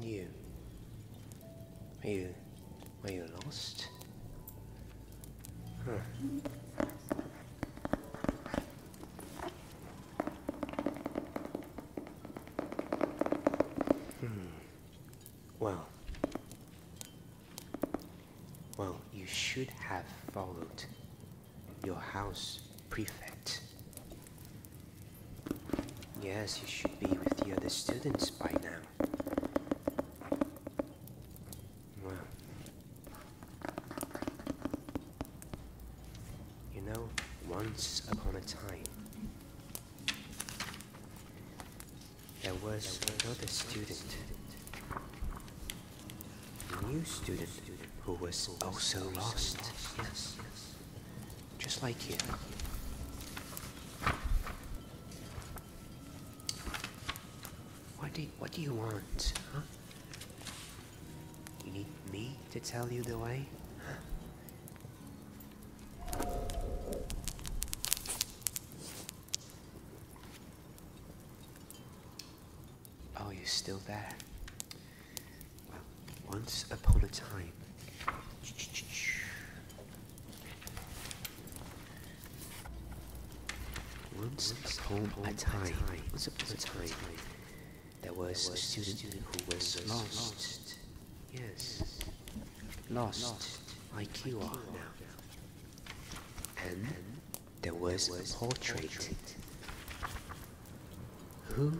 You. Are you... Are you lost? Hmm. hmm. Well, well, you should have followed your house prefect. Yes, you should be with the other students by now. Well, you know, once upon a time, there was another student a new student who was also oh lost, just like you. What do you, want, huh? You need me to tell you the way? Oh, you're still there. Well, once upon a time. Once, upon, a time. There was, a student, who was, was lost. lost. Yes. Lost. lost. Like you are now. And there was a portrait. Who,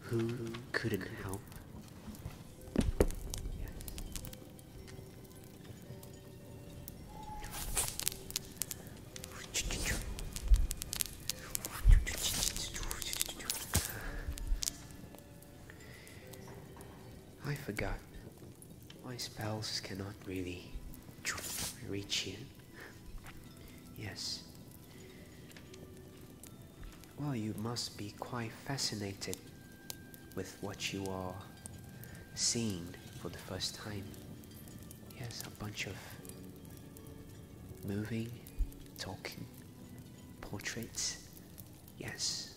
who couldn't help? I forgot my spells cannot really reach you. Yes. Well, you must be quite fascinated with what you are seeing for the first time. Yes, a bunch of moving, talking portraits. Yes.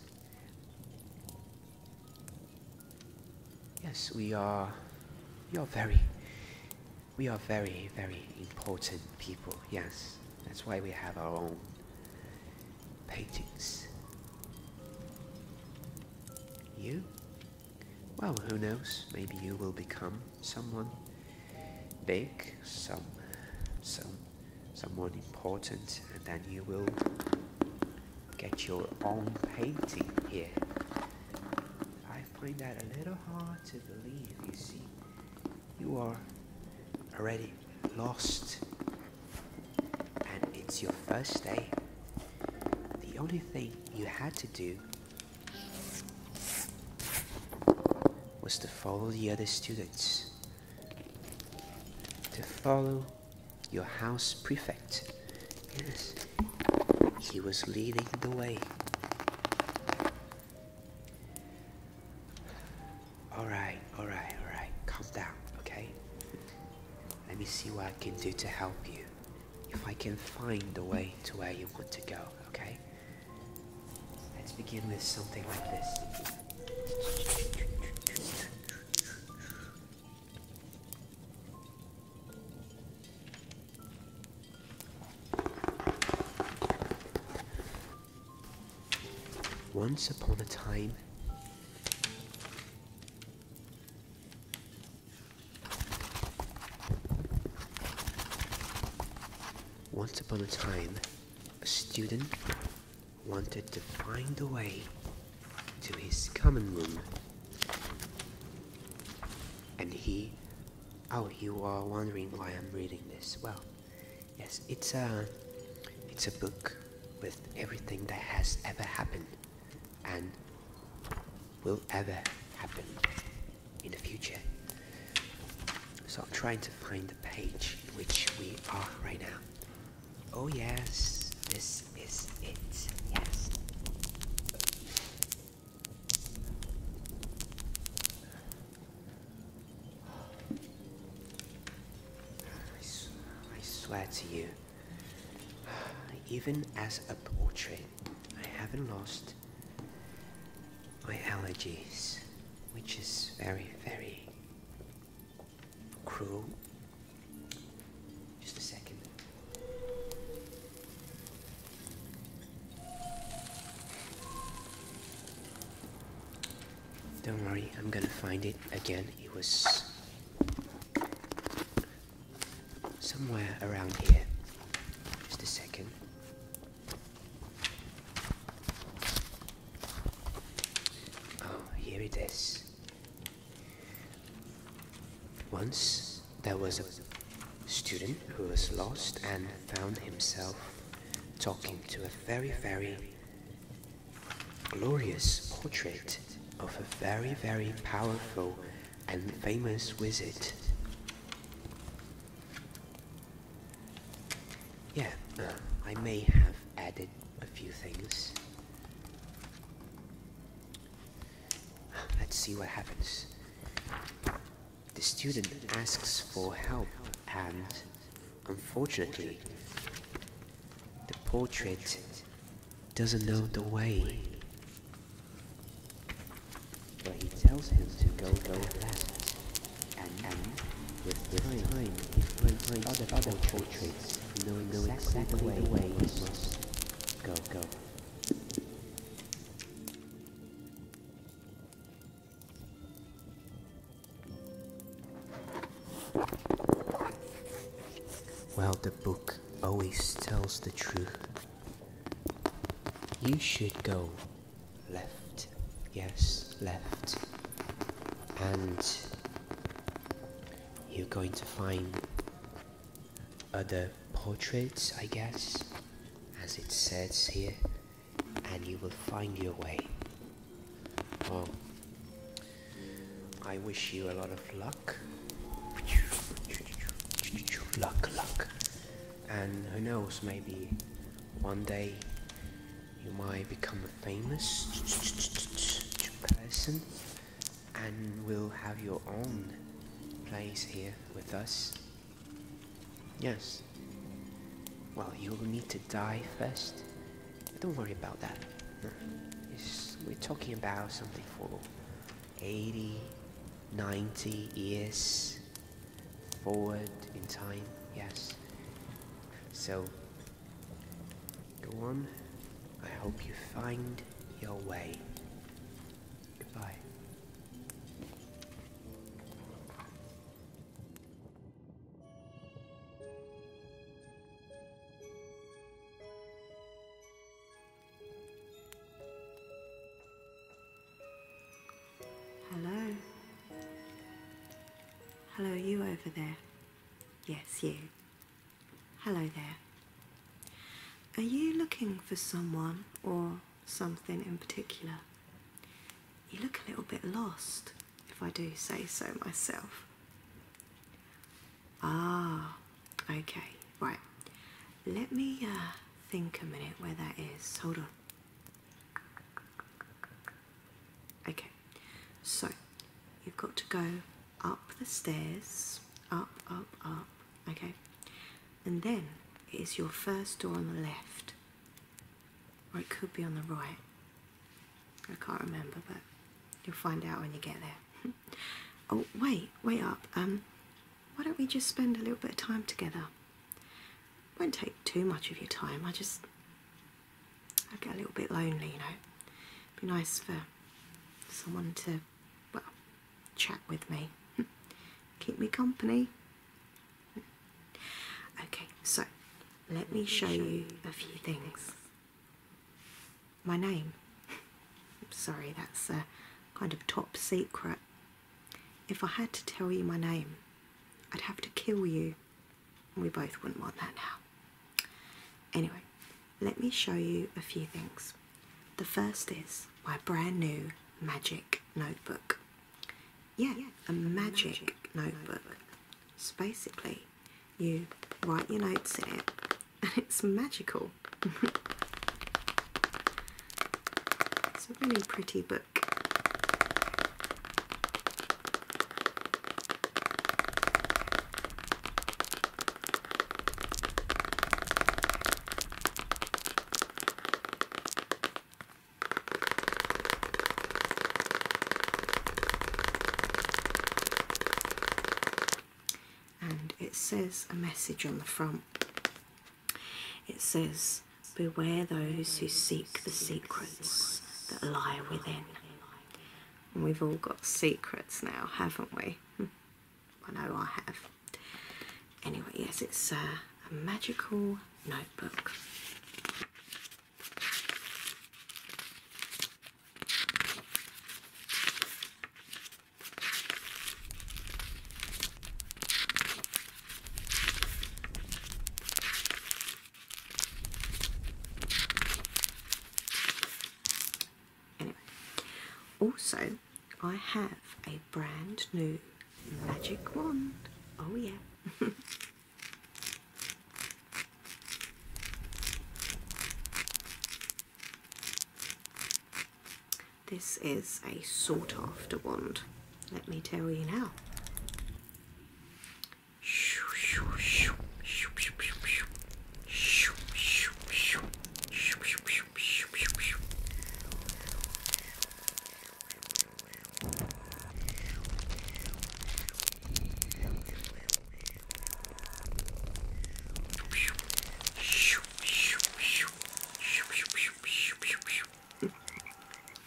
Yes, we are. We are very. We are very, very important people. Yes, that's why we have our own paintings. You? Well, who knows? Maybe you will become someone big, some, some, someone important, and then you will get your own painting here. I find that a little hard to believe, you see. You are already lost, and it's your first day. The only thing you had to do was to follow the other students, to follow your house prefect. Yes, he was leading the way. All right, all right, all right. Calm down, okay? Let me see what I can do to help you. If I can find the way to where you want to go, okay? Let's begin with something like this. Once upon a time, once upon a time, a student wanted to find a way to his common room. And he, oh, you are wondering why I'm reading this. Well, yes, it's a, it's a book with everything that has ever happened and will ever happen in the future. So I'm trying to find the page in which we are right now. Oh yes, this is it, yes. I swear to you, even as a portrait, I haven't lost my allergies, which is very, very cruel just a second. Don't worry, I'm gonna find it again. It was somewhere around here. Just a second. Oh, here it is. Once there was a student who was lost and found himself talking to a very, very glorious portrait of a very, very powerful and famous wizard. Yeah, uh, I may have added a few things. Let's see what happens. The student asks for help and, unfortunately, the portrait doesn't know the way. But he tells him to go, go left. And, with the time, time, he finds other, other portraits, knowing exactly, exactly the way go, go. Well, the book always tells the truth. You should go left, yes, left, and you're going to find other portraits, I guess, as it says here, and you will find your way. Oh, I wish you a lot of luck. Luck, luck. And who knows, maybe one day you might become a famous person and will have your own place here with us. Yes. Well, you'll need to die first. don't worry about that. we're talking about something for 80, 90 years forward in time, yes. So, go on. I hope you find your way. Goodbye. Hello. Hello, you over there. Yes, you. Hello there. Are you looking for someone or something in particular? You look a little bit lost, if I do say so myself. Ah, okay, right. Let me uh, think a minute where that is. Hold on. Okay, so you've got to go up the stairs, up, up, up, okay, and then it is your first door on the left, or it could be on the right. I can't remember, but you'll find out when you get there. oh, wait, wait up. Um, why don't we just spend a little bit of time together? won't take too much of your time. I just, I get a little bit lonely, you know. be nice for someone to well, chat with me, keep me company. Okay, so let me show you a few things. My name. sorry, that's a kind of top secret. If I had to tell you my name, I'd have to kill you, we both wouldn't want that now. Anyway, let me show you a few things. The first is my brand new magic notebook. Yeah, a magic, notebook. notebook. basically, you write your notes in it and it's magical. it's a really pretty book. And it says a message on the front. It says, Beware those who seek the secrets that lie within. And we've all got secrets now, haven't we? I know I have. Anyway, yes, it's uh, a magical notebook. Anyway, also I have a brand new magic wand. Oh yeah. This is a sought after wand, let me tell you now.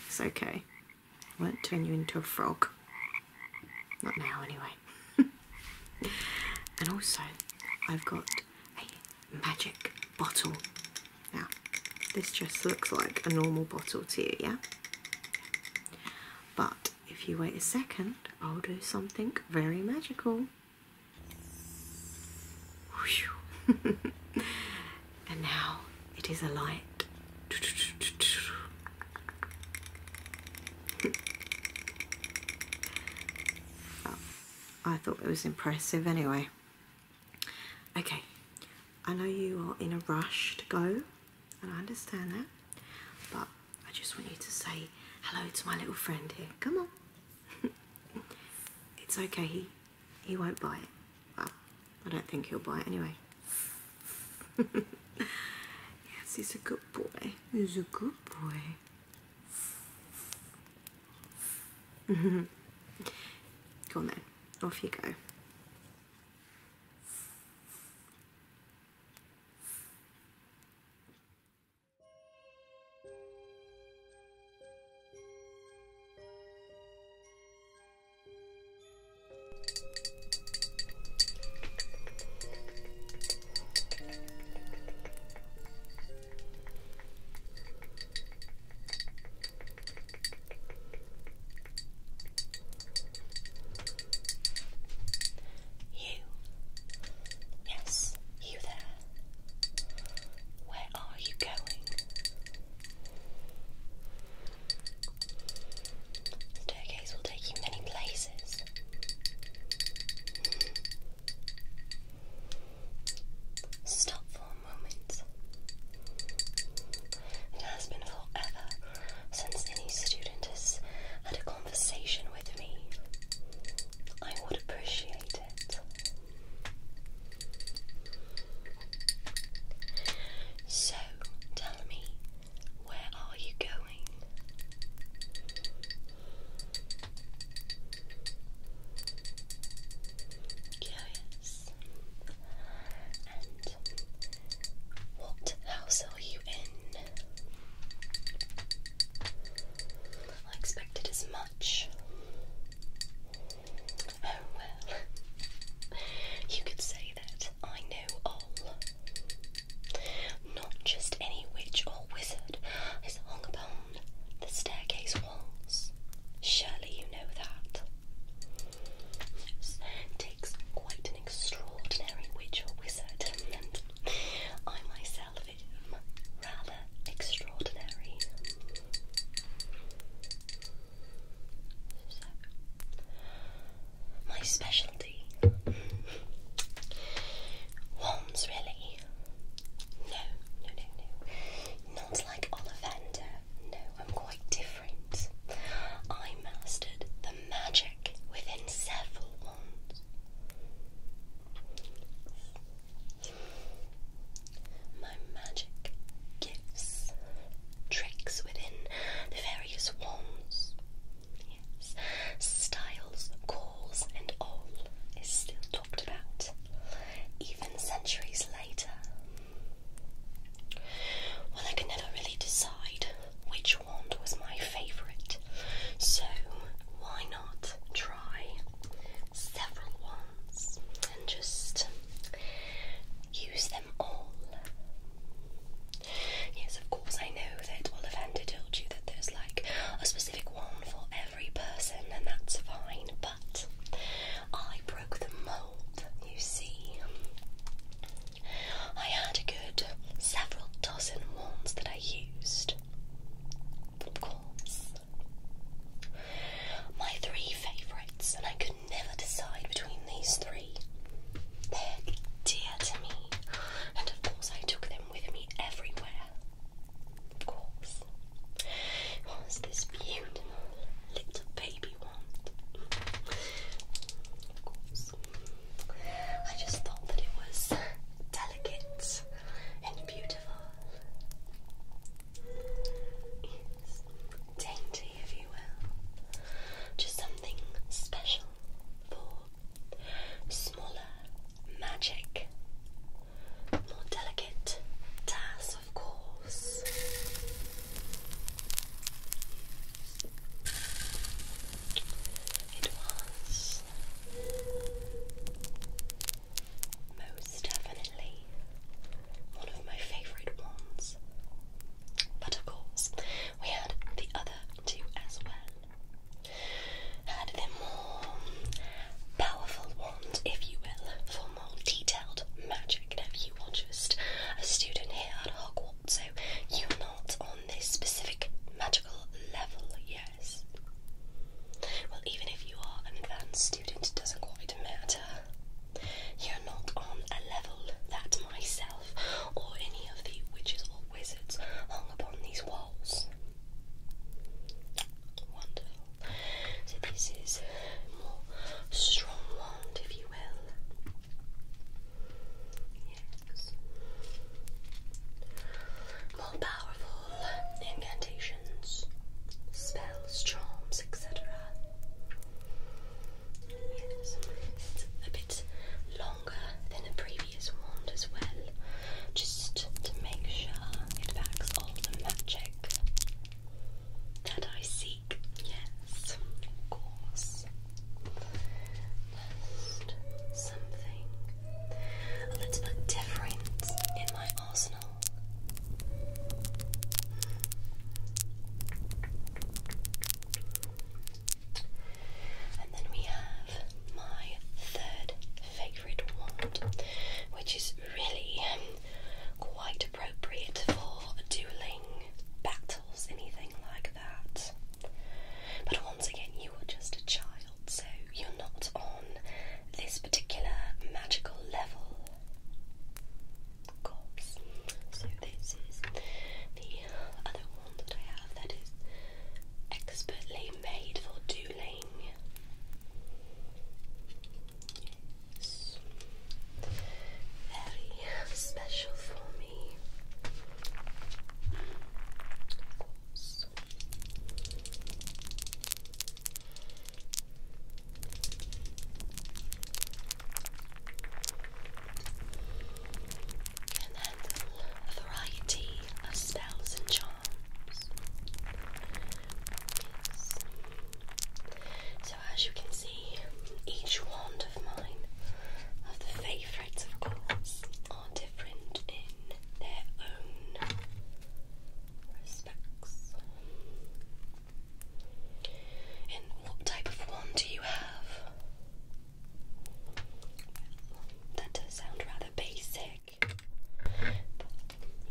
It's okay. I won't turn you into a frog. Not now, anyway. and also, I've got magic bottle. Now, this just looks like a normal bottle to you, yeah? But if you wait a second, I'll do something very magical. and now it is a light. I thought it was impressive anyway. Okay, I know you are in a rush to go, and I understand that, but I just want you to say hello to my little friend here. Come on. it's okay, he, he won't buy it. Well, I don't think he'll buy it anyway. yes, he's a good boy. He's a good boy go on then, off you go. You. Yes, you there. Where are you going? Staircase will take you many places. Stop for a moment. It has been forever since any student has had a conversation with me. I would appreciate it. So, tell me, where are you going? Curious. And what house are you in? I expected as much. Oh well. You could say that I know all. Not just any witch or wizard is hung upon the staircase walls. Surely you know that. takes quite an extraordinary witch or wizard, and I myself am rather extraordinary. So, my specialty. Wands, really. No, no, no, no. Not like Ollivander. No, I'm quite different. I mastered the magic within several wands. My magic gifts, tricks within the various wands. Yes, styles, and all is still talked about, even centuries later. Well, I could never really decide which wand was my favourite, so why not try several wands and just use them all? Yes, of course, I know that Ollivander told you that there's like a specific wand for every person, and that's fine, but I broke the mould, you see. I had a good several dozen wands that I used. Of course. My three favourites, and I could never decide between these three. They're dear to me, and of course I took them with me everywhere. Of course. What this beautiful little baby want? Of course. I just thought that it was delicate and beautiful. Dainty, if you will. Just something special for smaller magic more delicate tass, of course. It was most definitely one of my favourite ones. But of course, we had the other two as well had the more powerful wand, if you will, for more detailed magic. Now, you are just a student here at Hogwarts, so you're not on this specific magical level, yes? Well, even if you are an advanced student, it doesn't quite matter. You're not on a level that myself or any of the witches or wizards hung upon these walls. Wonderful. So this is more strong wand, if you will. Yes. More powerful incantations, spells, charms, etc. Yes, it's a bit longer than the previous wand as well, just to make sure it backs all the magic that I seek. Yes, of course. Just something a little bit different in my arsenal. And then we have my third favourite wand, which is really um, quite appropriate for dueling battles, anything like that. But once again, you are just a child, so you're not on this particular magical level. So, this is the other one that I have that is expertly made for dueling. Very special for me. Of course. a variety of spells and charms. So as you can see, each wand of mine, of the favourites of course, are different in their own respects. And what type of wand do you have? That does sound rather basic back.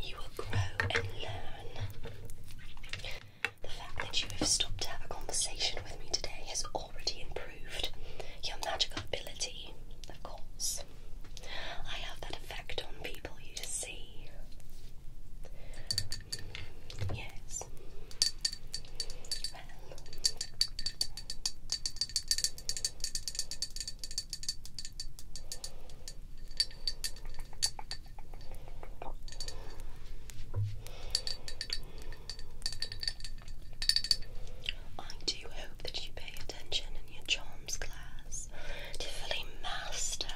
You will grow and learn. The fact that you have stopped to a conversation with me today has already improved your magical ability, of course. I have that effect on people you see. Yes. I do hope that you pay attention in your charms class to fully master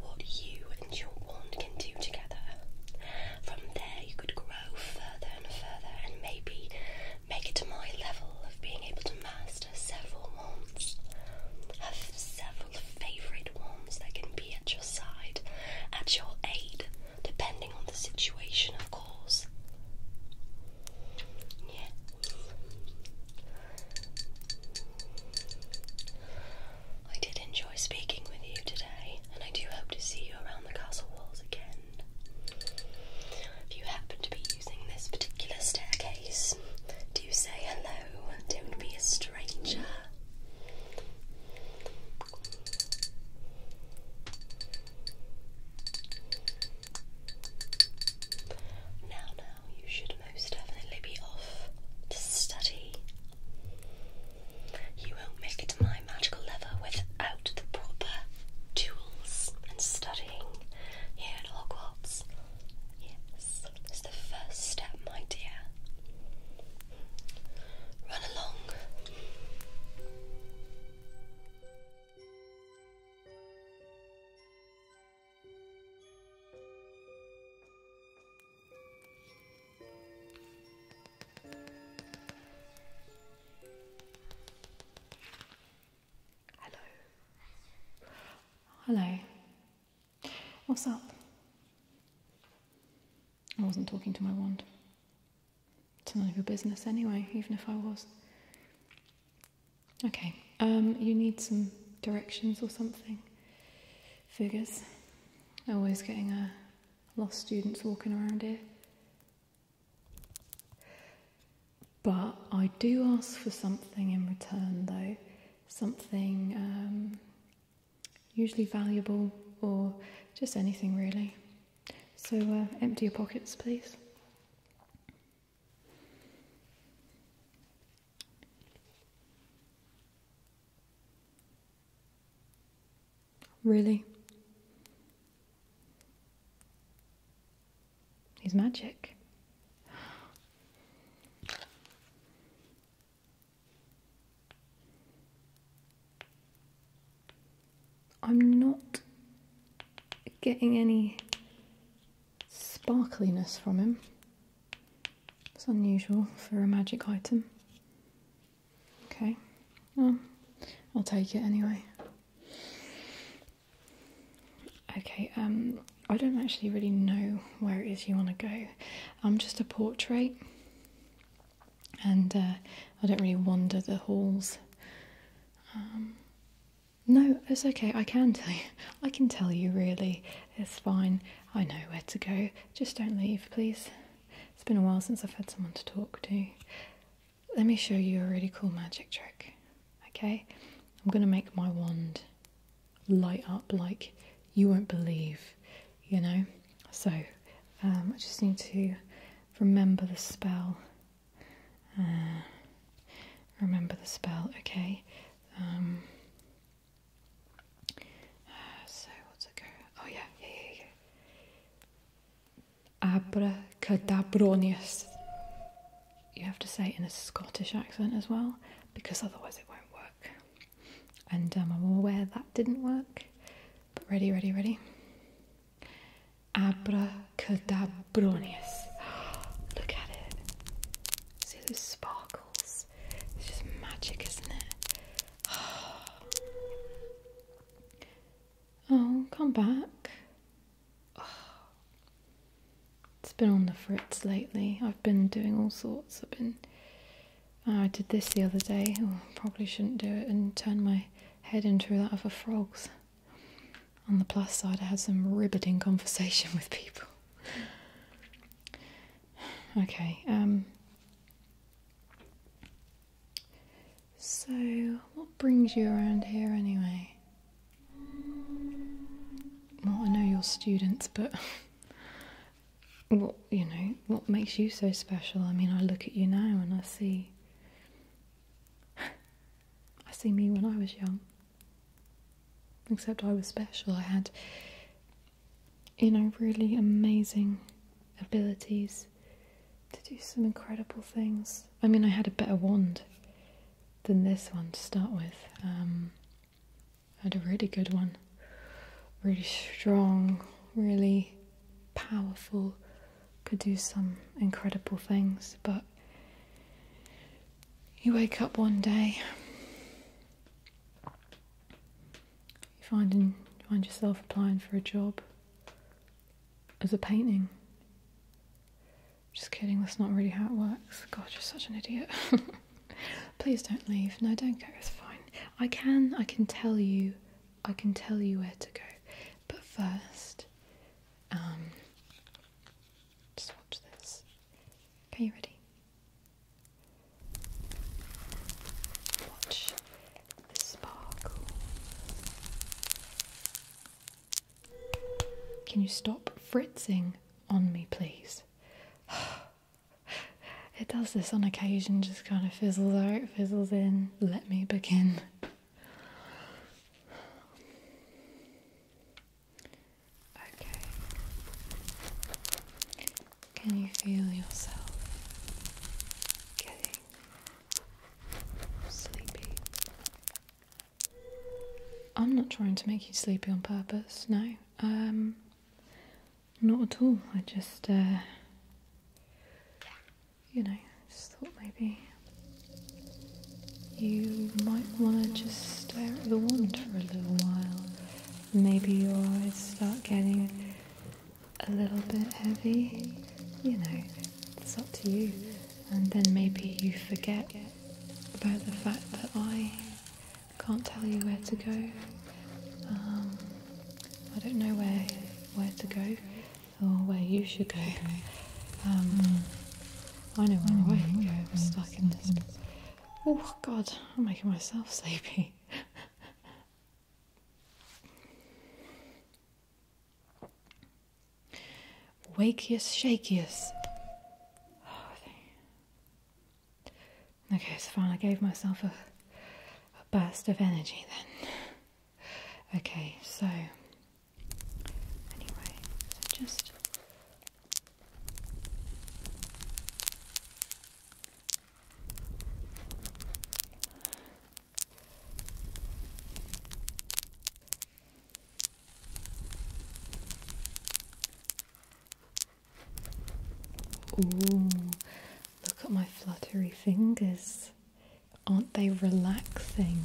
what you and your wand can do together. From there, you could grow further and further and maybe make it to my level of being able to master past several months. Have several favourite ones that can be at your side, at your aid, depending on the situation, of course. Yeah. I did enjoy speaking with you today, and I do hope to see you around the castle walls again. If you happen to be using this particular staircase, do say hello. Don't be a stranger. Now, now, you should most definitely be off to study. You won't make it to my magical level without the proper tools and studying here at Hogwarts. Yes, that's the first step, my dear. Run along. Hello. Hello. What's up? I wasn't talking to my wand. It's none of your business anyway, even if I was. Okay, um, you need some directions or something. Figures. Always getting a uh, lost students walking around here. But I do ask for something in return, though, something um, usually valuable or just anything really. So uh, empty your pockets, please. Really? He's magic. I'm not getting any sparkliness from him. It's unusual for a magic item. Okay, well, I'll take it anyway. Okay, um, I don't actually really know where it is you want to go. I'm just a portrait, and uh, I don't really wander the halls. Um, no, it's okay. I can tell you. I can tell you. Really, it's fine. I know where to go. Just don't leave, please. It's been a while since I've had someone to talk to. Let me show you a really cool magic trick. Okay, I'm gonna make my wand light up like you won't believe, you know. So um, I just need to remember the spell. Uh, remember the spell, okay. Um, uh, so what's it go? Oh yeah, yeah, yeah, yeah you have to say it in a Scottish accent as well, because otherwise it won't work. And um, I'm aware that didn't work. But ready, ready, ready. Abracadabronius. Look at it. See the sparkles? It's just magic, isn't it? Oh, come back. It's been on the fritz lately. I've been doing all sorts. I've been. Oh, I did this the other day. Oh, probably shouldn't do it and turn my head into that of a frog's. On the plus side, I had some ribbiting conversation with people. okay. Um. So, what brings you around here anyway? Well, I know you're students, but what you know, what makes you so special? I mean, I look at you now and I see, I see me when I was young. Except I was special. I had, you know, really amazing abilities to do some incredible things. I mean, I had a better wand than this one to start with. Um, had a really good one. Really strong, really powerful, could do some incredible things, but you wake up one day, you find, find yourself applying for a job as a painting. Just kidding, that's not really how it works. God, you're such an idiot. Please don't leave. No, don't go, it's fine. I can, I can tell you, I can tell you where to go. But first, um, just watch this. Okay, you ready? Watch the sparkle. Can you stop fritzing on me, please? it does this on occasion, just kind of fizzles out, fizzles in. Let me begin. Okay. Can you feel yourself getting sleepy? I'm not trying to make you sleepy on purpose, no. Um, not at all. I just, uh, you know, just thought maybe you might want to just stare at the wand for a little while. Maybe your eyes start getting a little bit heavy. You know, it's up to you. And then maybe you forget about the fact that I can't tell you where to go. Um, I don't know where where to go or where you should go. Um, I know where I can go. Mm-hmm. I'm stuck in this. Oh God, I'm making myself sleepy. Wakiest, shakiest. Oh, Okay, it's fine. I gave myself a, burst of energy then. Okay, so anyway, so just Ooh, look at my fluttery fingers. Aren't they relaxing?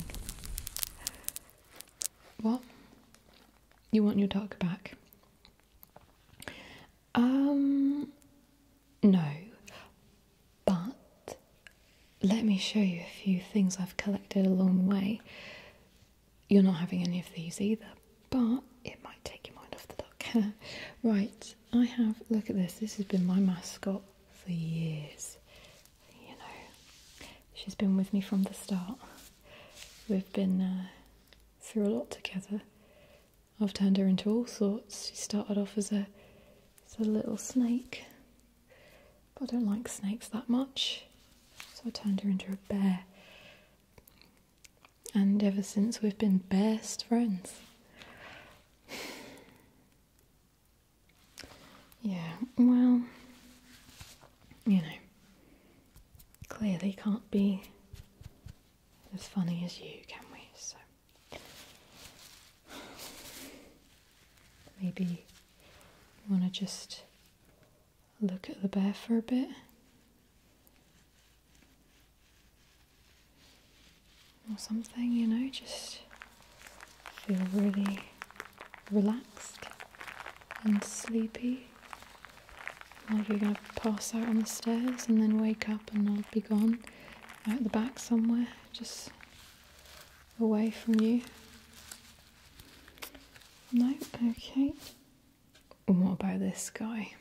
What? You want your dog back? Um, no. But let me show you a few things I've collected along the way you're not having any of these either, but it might take your mind off the duck. right, I have, look at this, this has been my mascot for years. You know, she's been with me from the start. We've been uh, through a lot together. I've turned her into all sorts. She started off as a, as a little snake, but I don't like snakes that much, so I turned her into a bear. And ever since we've been best friends. yeah, well, you know, clearly can't be as funny as you, can we? So maybe you want to just look at the bear for a bit. Or something, you know, just feel really relaxed and sleepy. Like you're going to pass out on the stairs and then wake up and I'll be gone out the back somewhere, just away from you. No, okay what about this guy?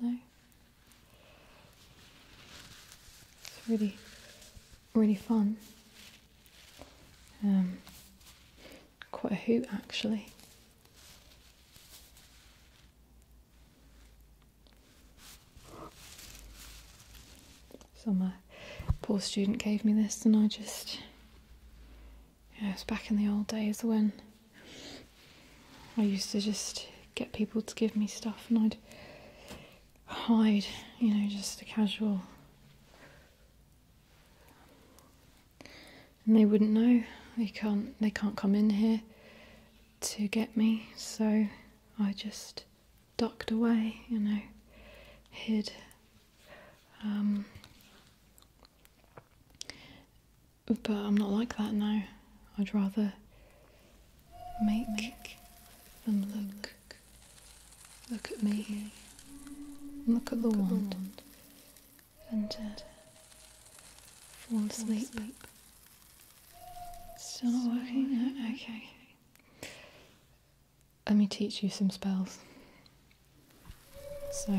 No. It's really, really fun. Um, quite a hoot actually. So my poor student gave me this and I just yeah, it was back in the old days when I used to just get people to give me stuff and I'd hide, you know, just a casual and they wouldn't know. They can't they can't come in here to get me, so I just ducked away, you know, hid. Um, but I'm not like that now. I'd rather make, them look, look at me, look at the look wand, and uh, Fall asleep Still not working? Okay. Let me teach you some spells. So.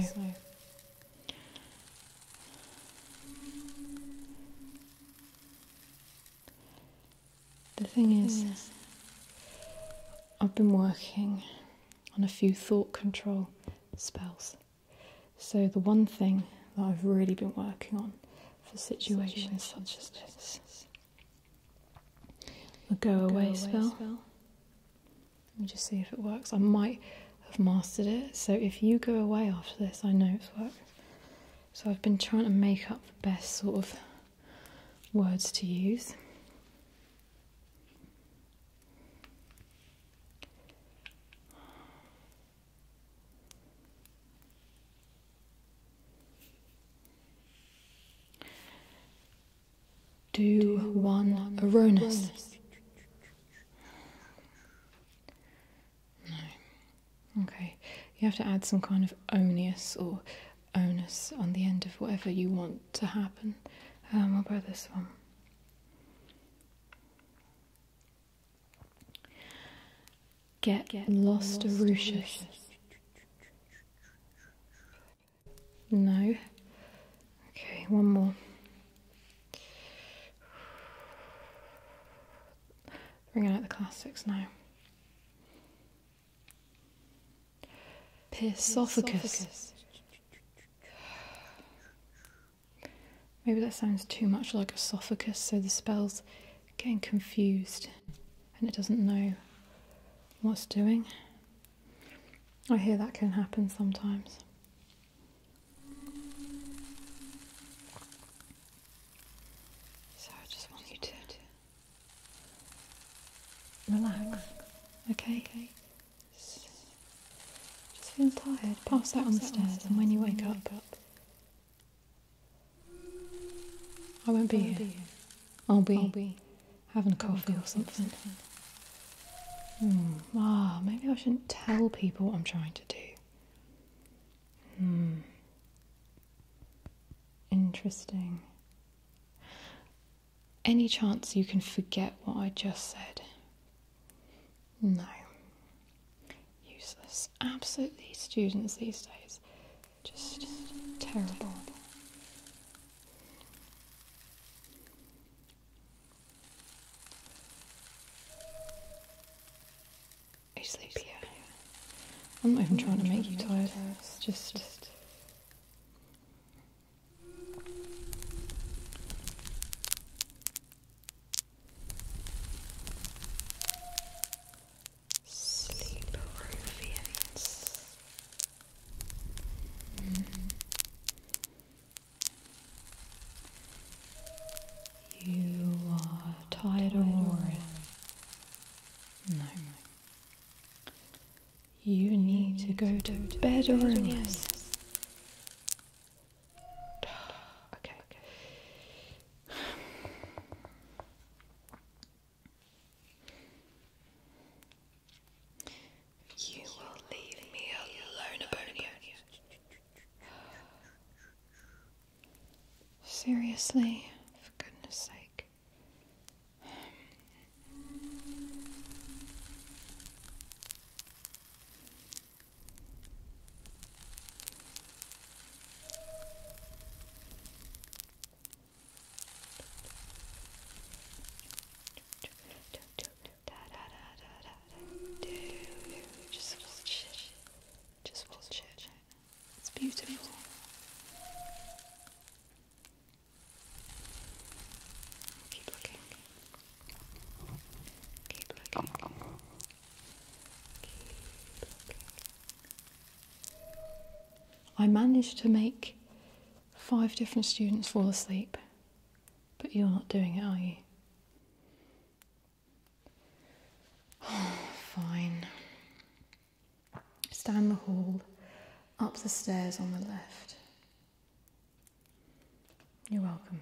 The thing is, I've been working on a few thought control spells. So, the one thing that I've really been working on for situations such as this the go away spell. Let me just see if it works. I might have mastered it. So, if you go away after this, I know it's worked. So, I've been trying to make up the best sort of words to use. Do one Aronis. No. Okay. You have to add some kind of onus or onus on the end of whatever you want to happen. Um, I'll buy this one. Get, Get lost, Arushas. No. Okay, one more. Bringing out the classics now. Pisophagus. Maybe that sounds too much like esophagus, so the spell's getting confused and it doesn't know what's doing. I hear that can happen sometimes. So I just want you to relax, okay? okay. Just feel tired, pass that on the stairs, and when you wake up, I won't be, I will be having a coffee, or something. Hmm. Ah, maybe I shouldn't tell people what I'm trying to do. Hmm. Interesting. Any chance you can forget what I just said? No. Useless. Absolutely, students these days. Just terrible. you sleepy? Yeah. I'm not even trying to make you tired. It's just Sleepover You are tired or No. You need to go to bed or rest okay. You will leave me alone, Abonia. Seriously, for goodness sake. Just bullshit. Just bullshit. It's beautiful. Keep looking. Keep looking. I managed to make five different students fall asleep, but you're not doing it, are you? fine. It's down the hall, up the stairs on the left. You're welcome.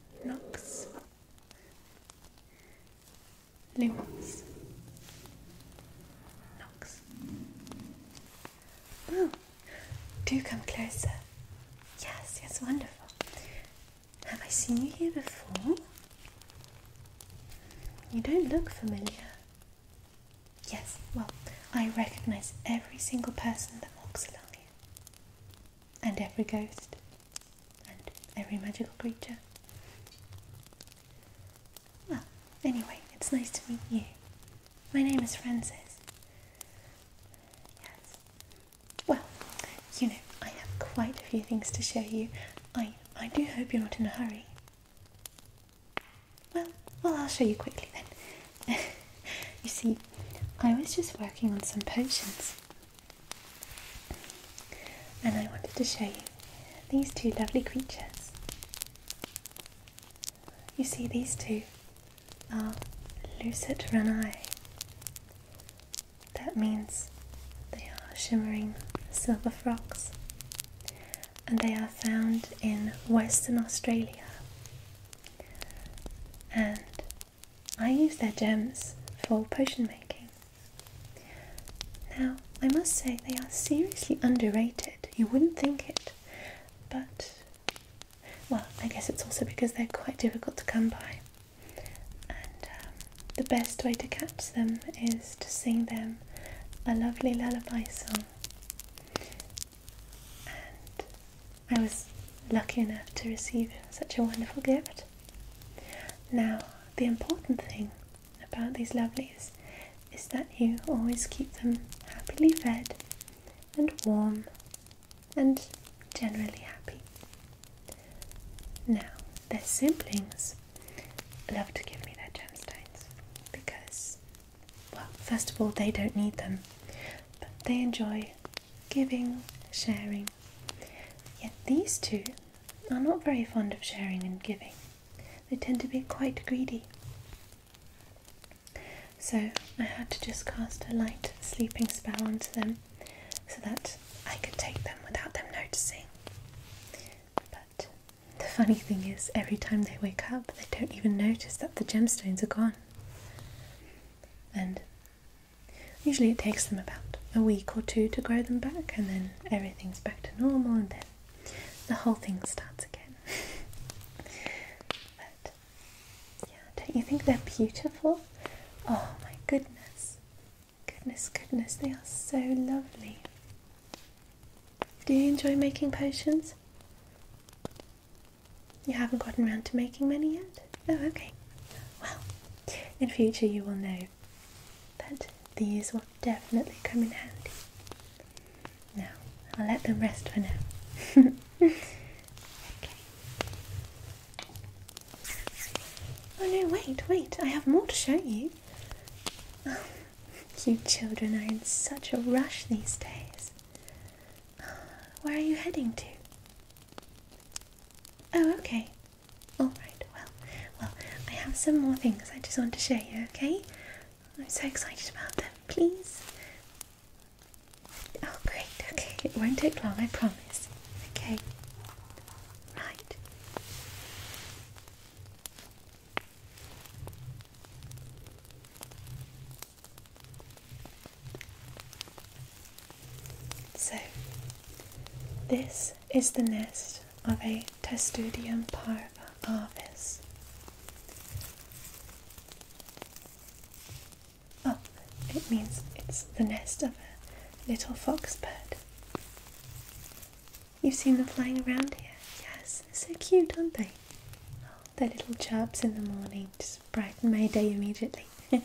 Knox, Lewis, Knox. Oh, do come closer. Yes, yes, wonderful. Have I seen you here before? You don't look familiar. Yes, well, I recognize every single person that walks along here and every ghost and every magical creature. Well, anyway, it's nice to meet you. My name is Francis. Yes. Well, you know, I have quite a few things to show you. I, I do hope you're not in a hurry. Well, well, I'll show you quickly then. you see, I was just working on some potions. And I wanted to show you these two lovely creatures. You see, these two are lucid That means they are shimmering silver frogs. And they are found in Western Australia. And I use their gems for potion making. Now, I must say they are seriously underrated. You wouldn't think it, but well, I guess it's also because they're quite difficult to come by. And um, the best way to catch them is to sing them a lovely lullaby song. I was lucky enough to receive such a wonderful gift. Now, the important thing about these lovelies is that you always keep them happily fed and warm and generally happy. Now, their siblings love to give me their gemstones because, well, first of all, they don't need them, but they enjoy giving, sharing. Yet these two are not very fond of sharing and giving, they tend to be quite greedy. So I had to just cast a light sleeping spell onto them so that I could take them without them noticing. But the funny thing is, every time they wake up, they don't even notice that the gemstones are gone. And Usually it takes them about a week or two to grow them back and then everything's back to normal and then the whole thing starts again. but yeah, don't you think they're beautiful? Oh my goodness. Goodness, goodness, they are so lovely. Do you enjoy making potions? You haven't gotten around to making many yet? Oh, okay. Well, in future you will know that these will definitely come in handy. Now, I'll let them rest for now. okay. Oh no, wait, wait, I have more to show you. you children are in such a rush these days. Where are you heading to? Oh, okay. Alright, well, well, I have some more things I just want to show you, okay? I'm so excited about them, please. Oh, great, okay. It won't take long, I promise. Okay. Right. So, this is the nest of a Testudium parva arvis. Oh, it means it's the nest of a little fox bird. You've seen them flying around here, yes? They're so cute, aren't they? Oh, their little chirps in the mornings brighten my day immediately.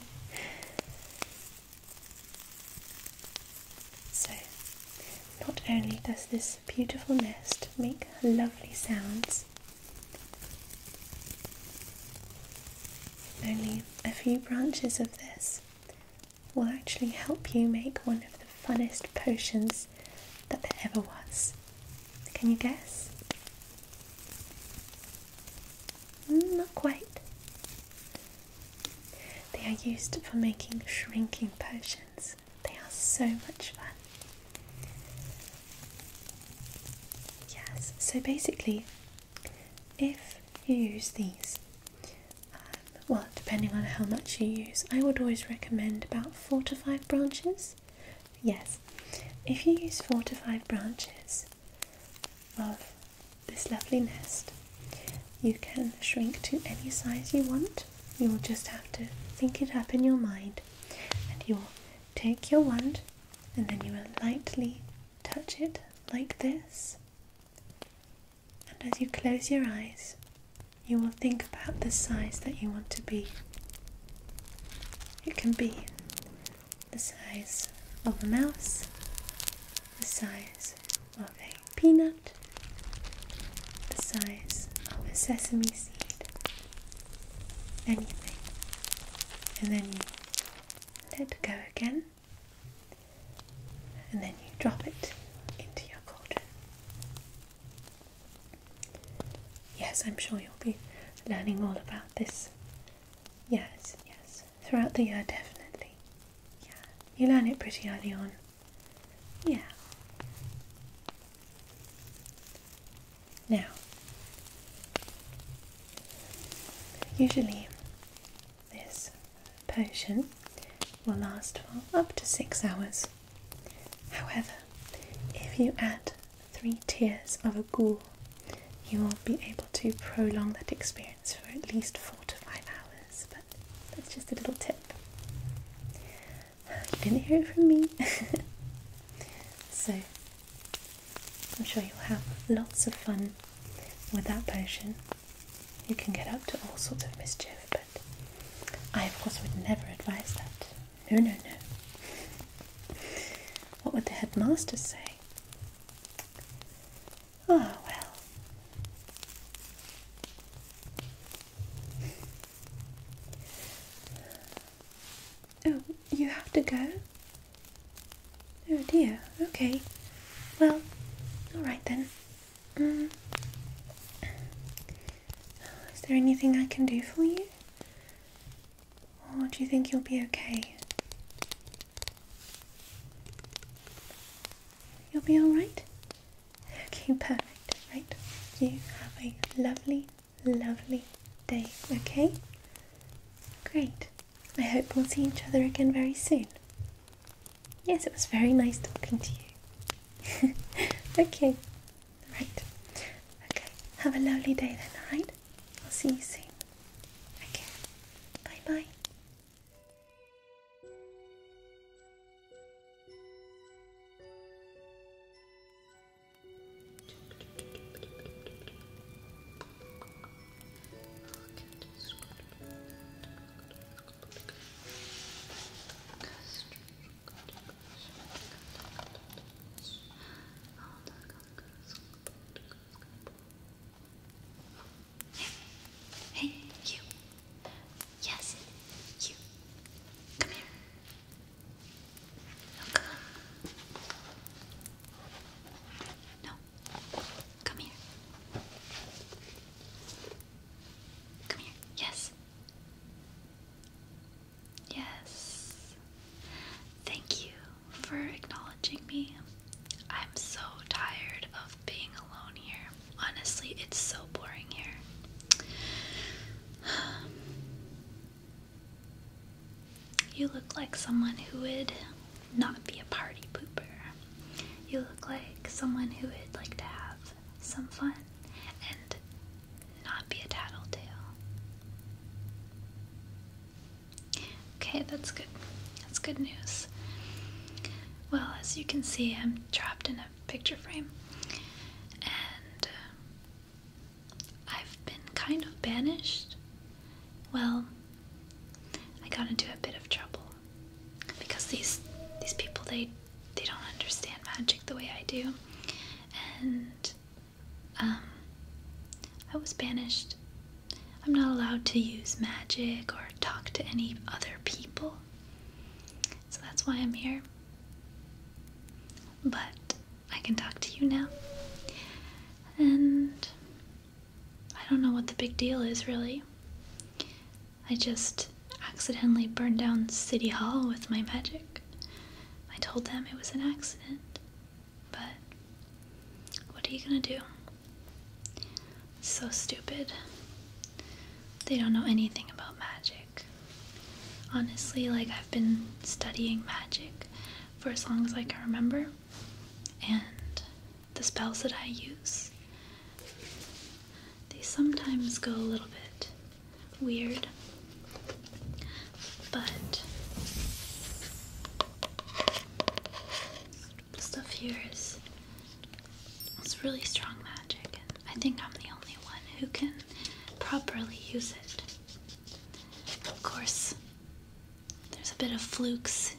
so, not only does this beautiful nest make lovely sounds, only a few branches of this will actually help you make one of the funnest potions that there ever was. Can you guess? Mm, not quite. They are used for making shrinking potions. They are so much fun. Yes, so basically, if you use these, um, well, depending on how much you use, I would always recommend about four to five branches. Yes, if you use four to five branches, of this lovely nest. You can shrink to any size you want. You will just have to think it up in your mind and you'll take your wand and then you will lightly touch it like this. And as you close your eyes, you will think about the size that you want to be. It can be the size of a mouse, the size of a peanut, the size of a sesame seed, anything. And then you let go again, and then you drop it into your cauldron. Yes, I'm sure you'll be learning all about this. Yes, yes throughout the year, definitely. Yeah, you learn it pretty early on. Yeah. Now, usually this potion will last for up to six hours. However, if you add three tears of a ghoul you will be able to prolong that experience for at least four to five hours. But that's just a little tip. You didn't hear it from me. so, I'm sure you'll have lots of fun with that potion. You can get up to all sorts of mischief, but I, of course, would never advise that. No, no, no. What would the headmaster say? Oh, well. Oh, you have to go? Oh dear, okay. Well, alright then. Um, is there anything I can do for you? Or do you think you'll be okay? You'll be alright? Okay, perfect. Right. You have a lovely, lovely day, okay? Great. I hope we'll see each other again very soon. Yes, it was very nice talking to you. okay. Right. Okay. Have a lovely day then, alright? I'll see you soon. Okay. Bye bye. Yeah. Hey, you. Yes, you. Come here. No, No. Come here. Come here. Yes. Yes. Thank you for acknowledging me. I'm so tired of being alone here. Honestly, it's so boring here. You look like someone who would not be a party pooper. You look like someone who would like to have some fun and not be a tattletale. Okay, that's good. That's good news. Well, as you can see, I'm trapped in a picture frame, and uh, I've been kind of banished. Well, I got into a bit of trouble because these these people they they don't understand magic the way I do, and um, I was banished I'm not allowed to use magic or talk to any other people. So that's why I'm here. But I can talk to you now. And I don't know what the big deal is, really. I just accidentally burned down City Hall with my magic. I told them it was an accident. But what are you gonna do? So stupid. They don't know anything about magic. Honestly, like I've been studying magic for as long as I can remember, and the spells that I use, they sometimes go a little bit weird, but the stuff here is it's really strong magic, and I think I'm the only one who can properly use it. Of course, there's a bit of flukes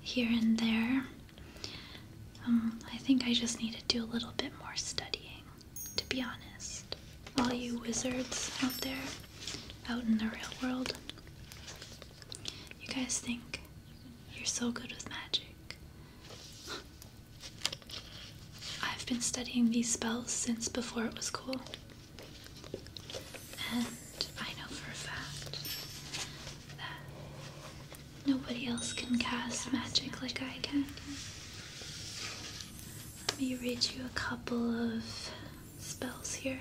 here and there. Um, I think I just need to do a little bit more studying, to be honest. All you wizards out there, out in the real world, you guys think you're so good with magic. I've been studying these spells since before it was cool. And I know for a fact that nobody else can cast magic like I can. Let me read you a couple of spells here.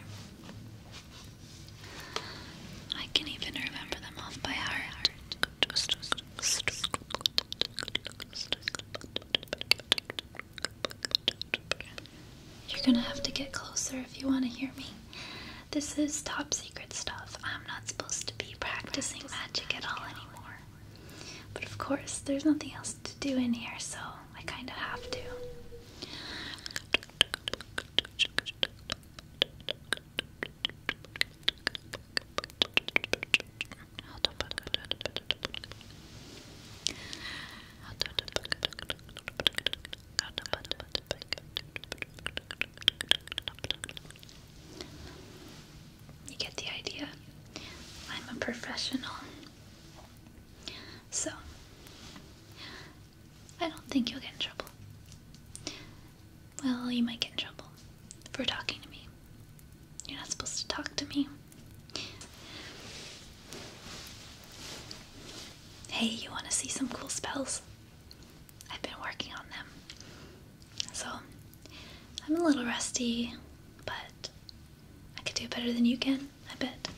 I can even remember them off by heart. You're gonna have to get closer if you want to hear me. This is top secret stuff. I'm not supposed to be practicing magic at all anymore. But of course, there's nothing else to do in here, so I kind of have to. You get the idea. I'm a professional. So, I don't think you'll get in trouble. Well, you might get in trouble for talking to me. You're not supposed to talk to me. Hey, you want to see some cool spells? I've been working on them. So, I'm a little rusty, but I could do better than you can. I bet.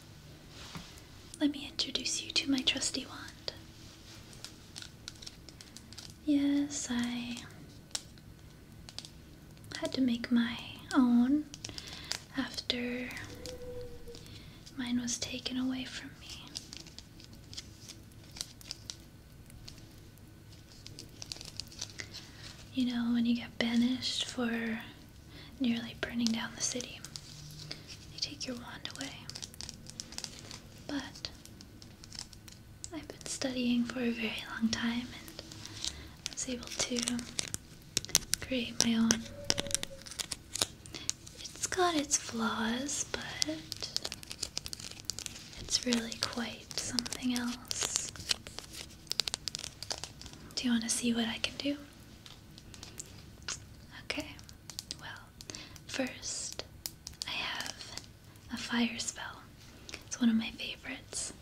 Let me introduce you to my trusty wand. Yes, I had to make my own after mine was taken away from me. You know, when you get banished for nearly burning down the city. They take your wand away. But I've been studying for a very long time and I was able to create my own. It's got its flaws, but it's really quite something else. Do you want to see what I can do? Okay, well, first, I have a fire spell. It's one of my favorites.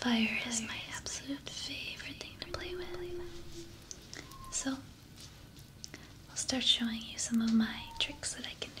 Fire, is my absolute favorite thing to play with. So, I'll start showing you some of my tricks that I can do.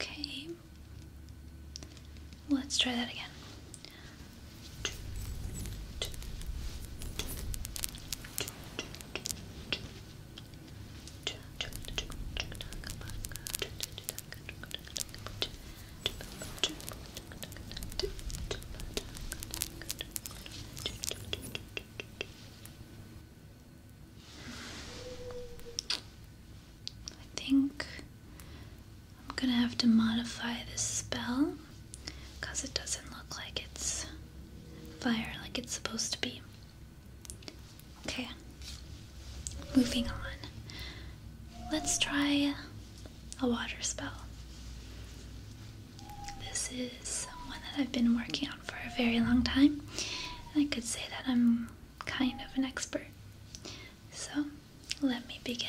Okay. Let's try that again. I think I'm gonna have to modify this spell because it doesn't look like it's fire like it's supposed to be. Okay, moving on. Let's try a water spell. This is one that I've been working on for a very long time, and I could say that I'm kind of an expert. So let me begin.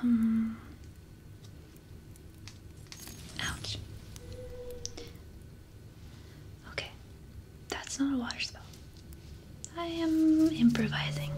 Um ouch Okay, that's not a water spell. I am improvising.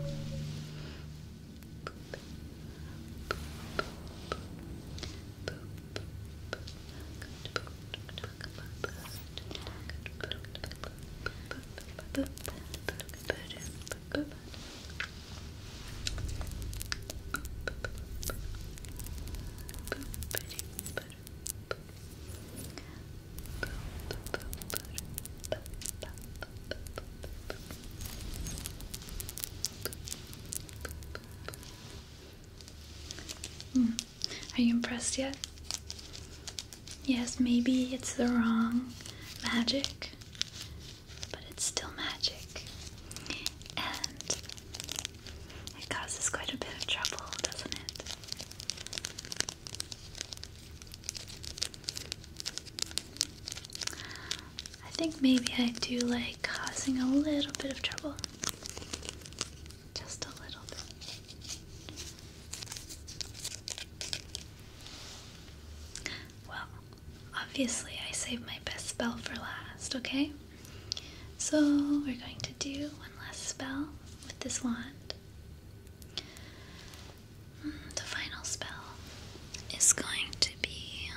Hmm. Are you impressed yet? Yes, maybe it's the wrong magic, but it's still magic. And it causes quite a bit of trouble, doesn't it? I think maybe I do like causing a little bit of trouble. Just a little bit. Well, obviously, I saved my best spell for last, okay? So we're going to do one last spell with this wand. Mm, the final spell is going to be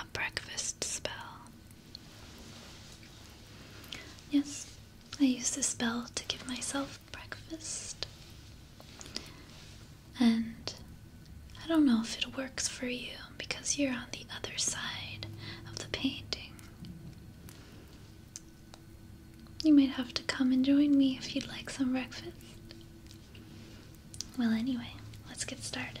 a breakfast spell. Yes, I use this spell to give myself breakfast. And I don't know if it works for you because you're on the other side of the painting. You might have to come and join me if you'd like some breakfast. Well, anyway, let's get started.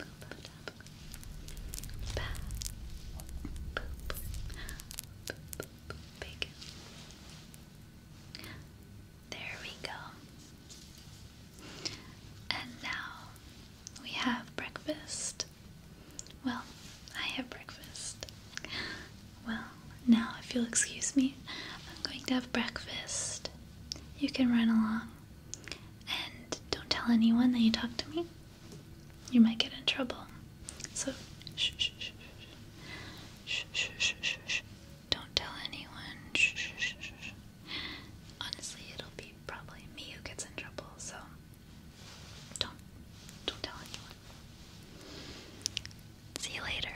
There we go. And now we have breakfast. Well, I have breakfast. Well, now, if you'll excuse me, I'm going to have breakfast. You can run along. And don't tell anyone that you talked to me you might get in trouble. So, shh, shh, shh, shh, shh, shh, shh, shh. Don't tell anyone. Shh, shh, shh, shh. Honestly, it'll be probably me who gets in trouble. So, don't, don't tell anyone. See you later.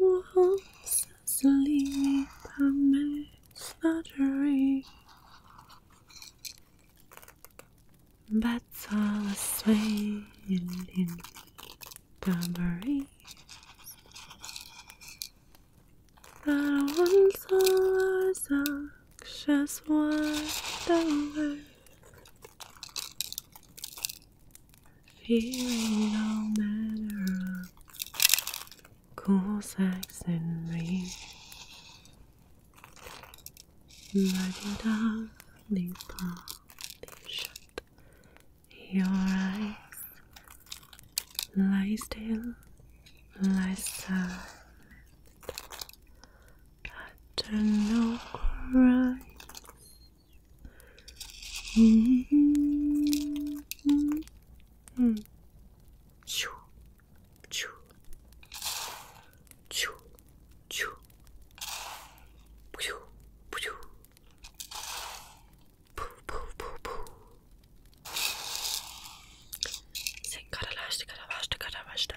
Wolves asleep amidst the tree. Bats are swaying in the breeze. The ones are just what the world? feeling no matter of cool Saxonry. Lollipop, shut your eyes. Lie still, lie silent. After no cries. Mm -hmm. Choo, choo, choo, choo, poo, poo, poo, poo, poo. Sen karalaştı, karalaştı, karalaştı.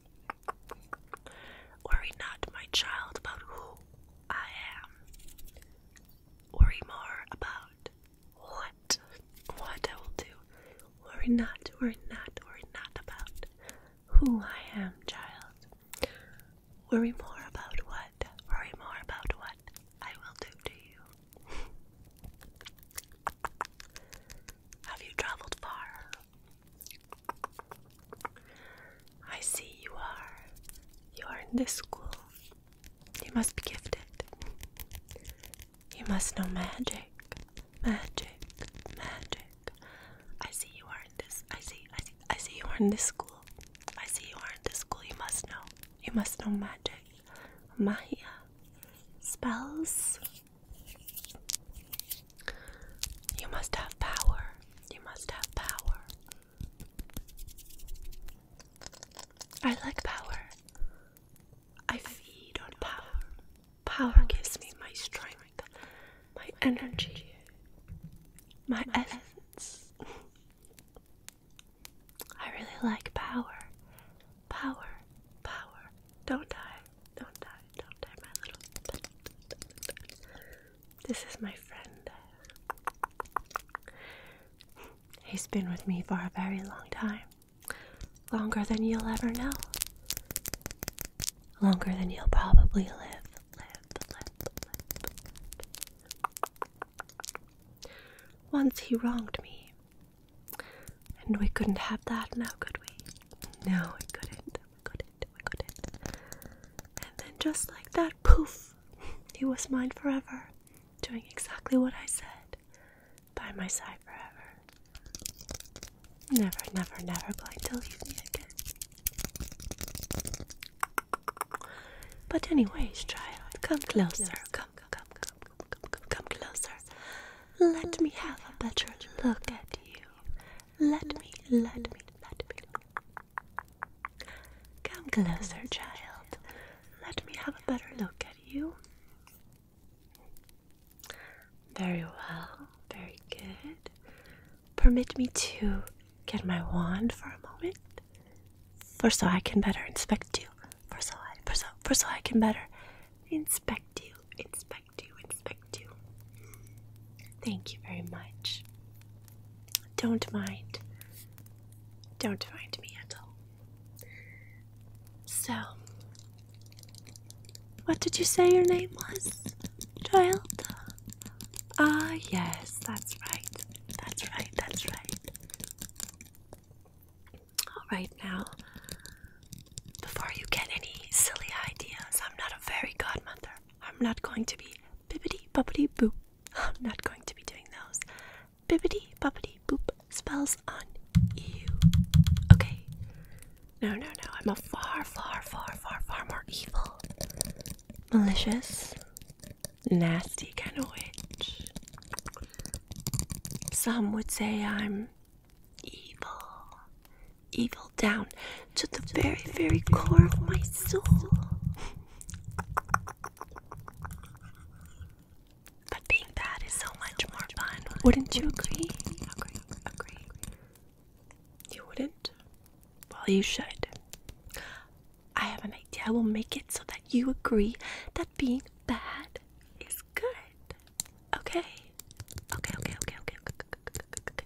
Worry not, my child, about who I am. Worry more about what what I will do. Worry not, worry not, worry not about who I am, child. Worry more about what, worry more about what I will do to you. Have you traveled far? I see you are. You are in this school. You must be gifted. You must know magic. Magic. Magic. I see you are in this. I see. I see. I see you are in this school. I see you are in this school. You must know. You must know magic. Maya. Spells. You must have power. You must have power. I like power. I feed on power. Power gives me my strength, my energy, my essence. I really like power. Power, power. Don't die. Don't die, don't die, my little. This is my friend. He's been with me for a very long time. Longer than you'll ever know. Longer than you'll probably live. Once he wronged me. And we couldn't have that now, could we? No, we couldn't. We couldn't. And then just like that, poof, he was mine forever, doing exactly what I said, by my side forever. Never, never, never going to leave me again. But anyways, child, come closer, come, come, come, come, come, come closer. Let me have a better look at you. Let me, let me, let me. Come closer, child. Let me have a better look at you. Very well, very good. Permit me to get my wand for a moment. For so I can better inspect you. For so I, for so, for so I can better inspect you. Inspect inspect inspect you. Thank you very much. Don't mind. Don't mind me at all. So, what did you say your name was, child? Ah, yes, that's right. That's right, that's right. Alright, now, before you get any silly ideas, I'm not a fairy godmother. I'm not going to be bibbity boppity boop. I'm not going to be doing those bibbity boppity boop spells on you. Okay. No, no, no. I'm a far, far, far, far, far more evil, malicious, nasty kind of witch. Some would say I'm evil evil down to the very, very core of my soul. But being bad is so much more fun. Wouldn't you agree? Agree, agree. You wouldn't? Well, you should. I have an idea. I will make it so that you agree that being bad is good. Okay? Okay, okay, okay, okay, okay, okay, okay, okay, okay.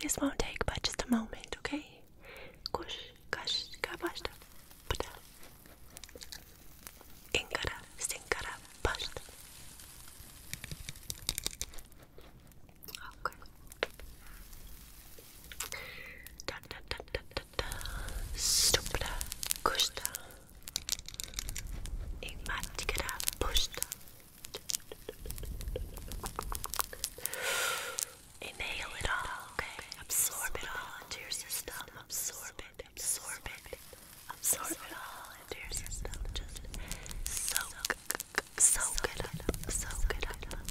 This won't take but just a moment, okay? Kush, kash, kabashta, puta. Inkara, sinkara, bashta. Okay. Da da da da da da. Stupra, kushta. Igmatikara, pushta. Inhale it all, okay? Absorb it all into your system. Absorb it, absorb it, absorb it all into your system. Just soak, soak it up, soak it up.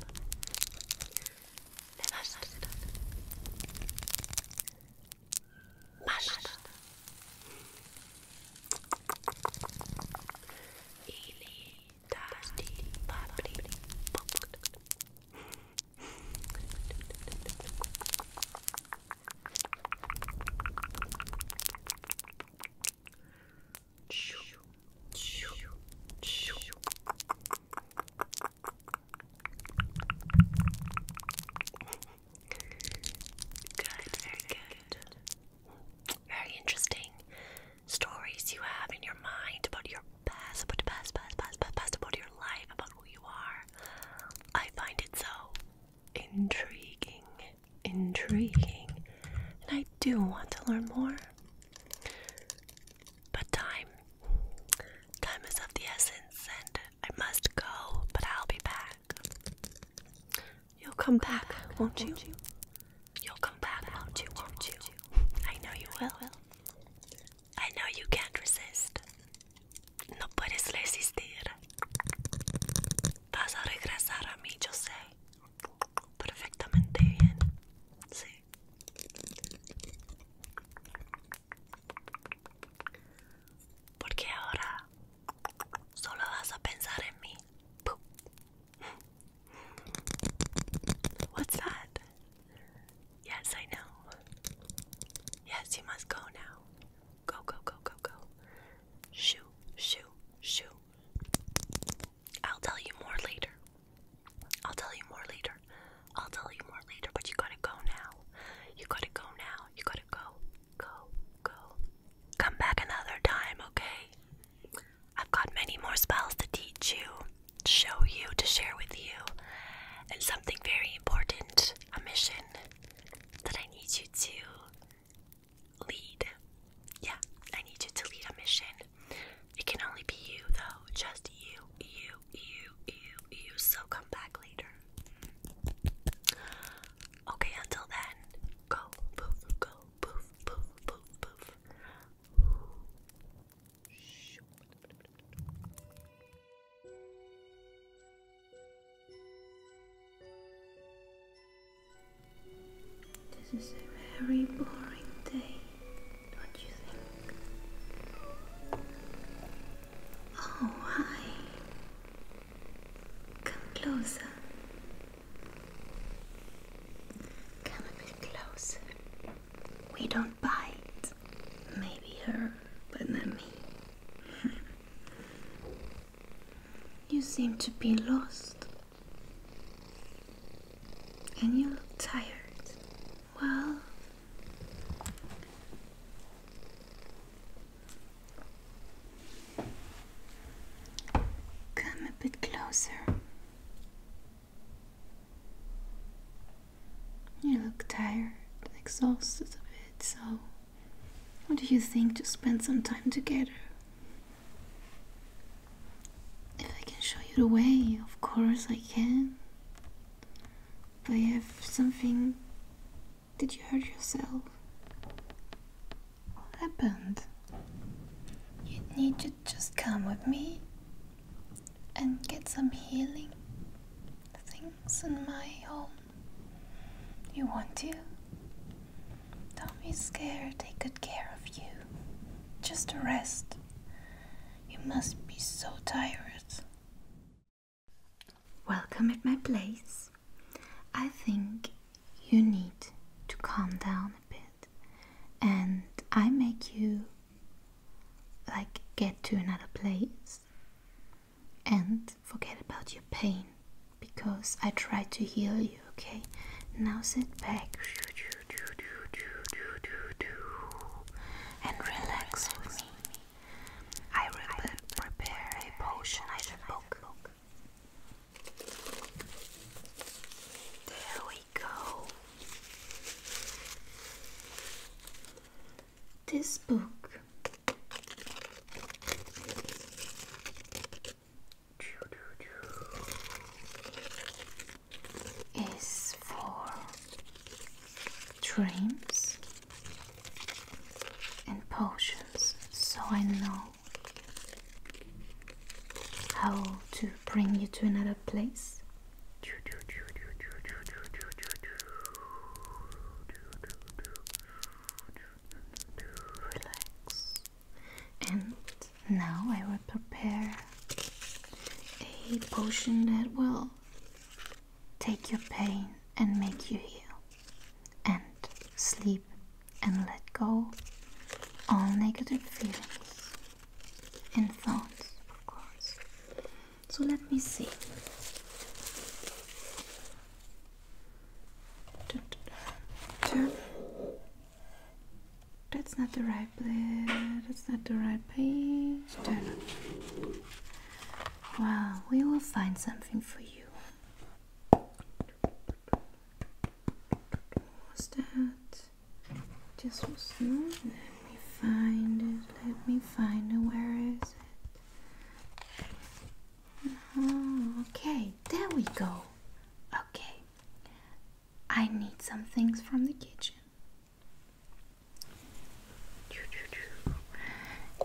Eating, Good, very good. Very interesting stories you have in your mind about your past, about the past, past, past, past, past, about your life, about who you are. I find it so intriguing, intriguing, and I do want to learn more. But time, time is of the essence, and I must go, but I'll be back. You'll come, back, won't, you? You'll come back, will Won't you? I know you will. I know you can't resist. No puedes resistir. Vas a regresar a mí, yo sé. Perfectamente bien. Sí. Porque ahora solo vas a pensar en mí. What's that? Yes, I know. Yes, you must go now. Go, go, go, go, go. Shoo, shoo, shoo. I'll tell you more later. I'll tell you more later. I'll tell you more later, but you gotta go now. You gotta go now. You gotta go, go, go. Come back another time, okay? I've got many more spells to teach you, to show you, to share with you, and something very important a mission that I need you to lead. Yeah, I need you to lead a mission. It can only be you, though, just you, you, you, you, you. So come back later. Okay, until then, go, poof, go, poof, poof, poof, poof. This is a very boring day, don't you think? Oh, hi. Come closer. Come a bit closer. We don't bite. Maybe her, but not me. you seem to be lost. And you look tired. Well, come a bit closer. You look tired and exhausted a bit, so what do you think to spend some time together? If I can show you the way, of course I can. But have something. Did you hurt yourself? What happened? You need to just come with me and get some healing things in my home. You want to? Don't be scared, take good care of you. Just rest. You must be so tired. Welcome at my place. I think you need to calm down a bit and I make you like get to another place and forget about your pain because I try to heal you, okay? Now sit back and relax with me. I prepare a potion there we go. This book is for dreams and potions, so I know how to bring you to another place? Relax. And now I will prepare a potion that will take your pain and make you heal. And sleep and let go all negative feelings and thoughts, of course. So let me see. Turn. That's not the right place. That's not the right page. Turn. Well, we will find something for you. What was that? Just was not. Let me find it. Let me find it. Where is it? Oh, okay. There we go. Okay. I need some things from the kitchen.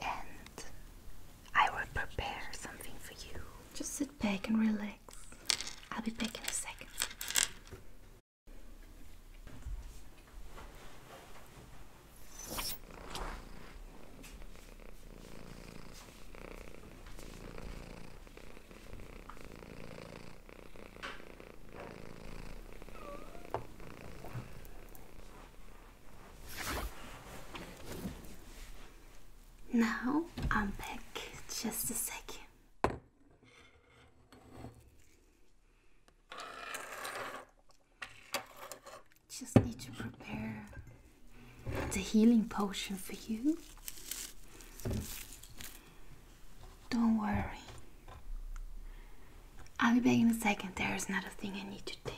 And I will prepare something for you. Just back and relax. I'll be back in a second. Now I'm back just a second. Just need to prepare the healing potion for you. Don't worry. I'll be back in a second. There is another thing I need to take.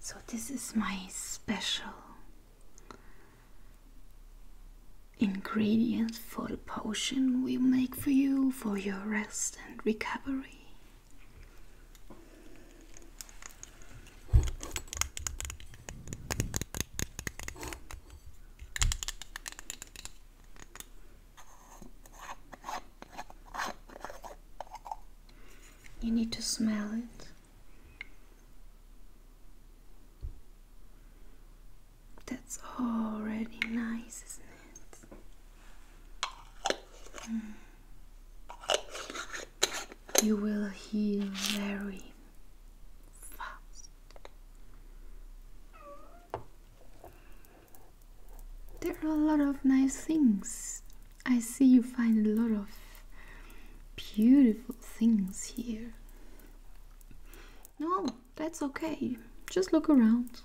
So, this is my special ingredient for the potion we make for you for your rest and recovery. You need to smell it. That's already nice, isn't it? You will heal very fast. There are a lot of nice things. I see you find a lot of beautiful things here. No, that's okay. Just look around.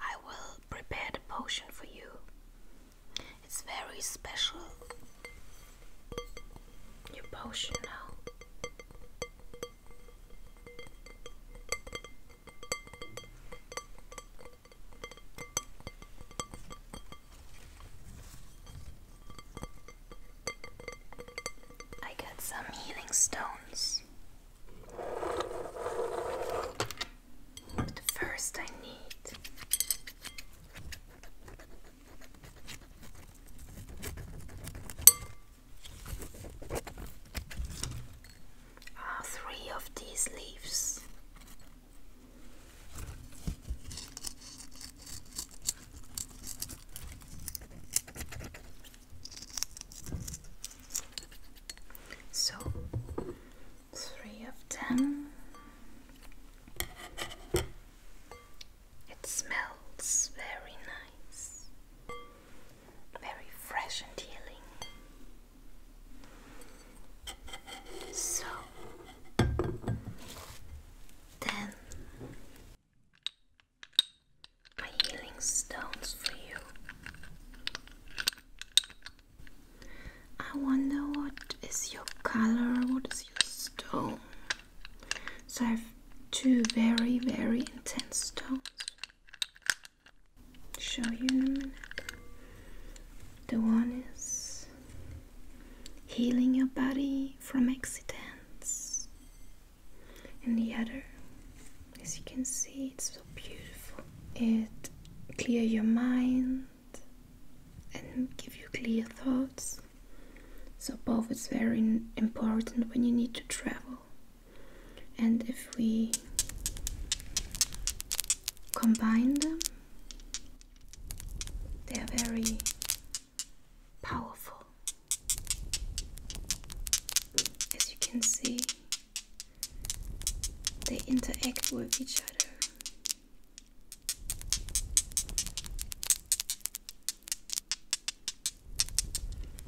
I will prepare the potion for you. It's very special. Your potion now. I got some healing stones. But first, I need uh, three of these leaves. So three of them. It smells very nice, very fresh and healing. So then my healing stones for you. I wonder what is your color, what is your stone? So I have two very, very intense stones. Show you in a minute. The one is healing your body from accidents, and the other, as you can see, it's so beautiful. It clear your mind and give you clear thoughts. So both is very important when you need to travel. And if we combine them, they are very powerful. As you can see, they interact with each other.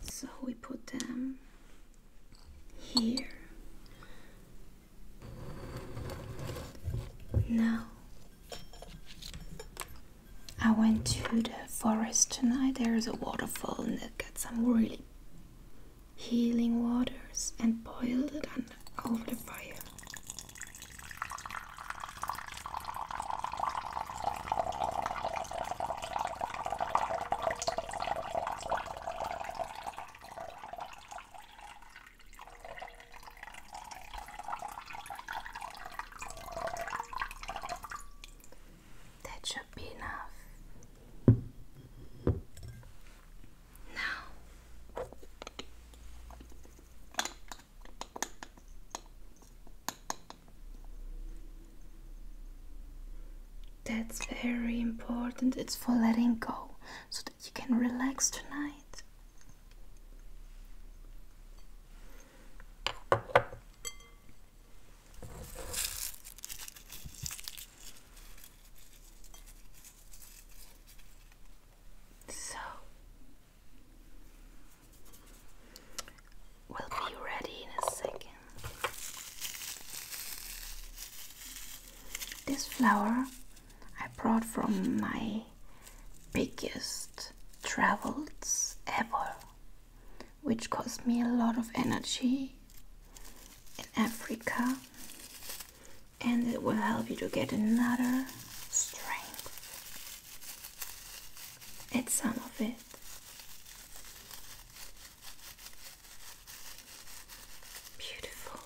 So we put them here. Now I went to the forest tonight. There is a waterfall and it got some really healing waters and boiled it on, over the fire. That should be enough. Now, that's very important. It's for letting go so that you can relax tonight. So we'll be ready in a second. This flower I brought from my biggest travels ever, which cost me a lot of energy in Africa and it will help you to get another strength. Add some of it. Beautiful.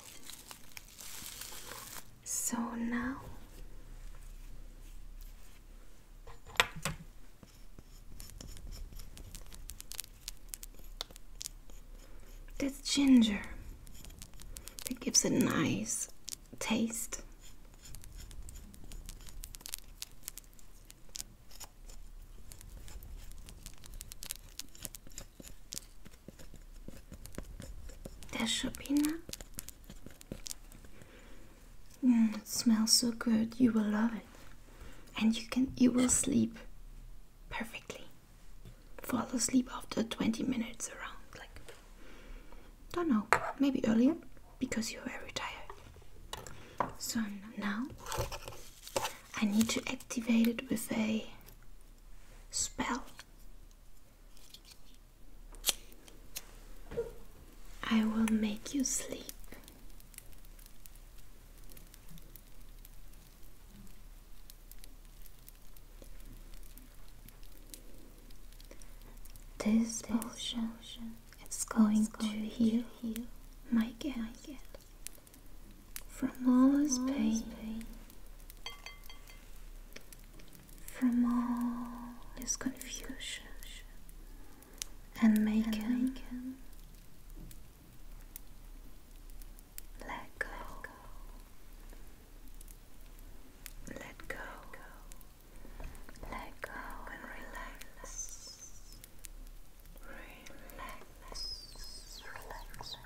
So now that's ginger. That gives a nice taste. That should be enough. Mm, it smells so good. You will love it, and you can you will sleep perfectly fall asleep after 20 minutes around like don't know maybe earlier because you're very tired so now i need to activate it with a spell i will make you sleep this, this potion is going, going to heal, heal my guest from all his pain, from all his confusion, and make, and make him let go. Let go. Let go and relax. Relax. Relax. Relax.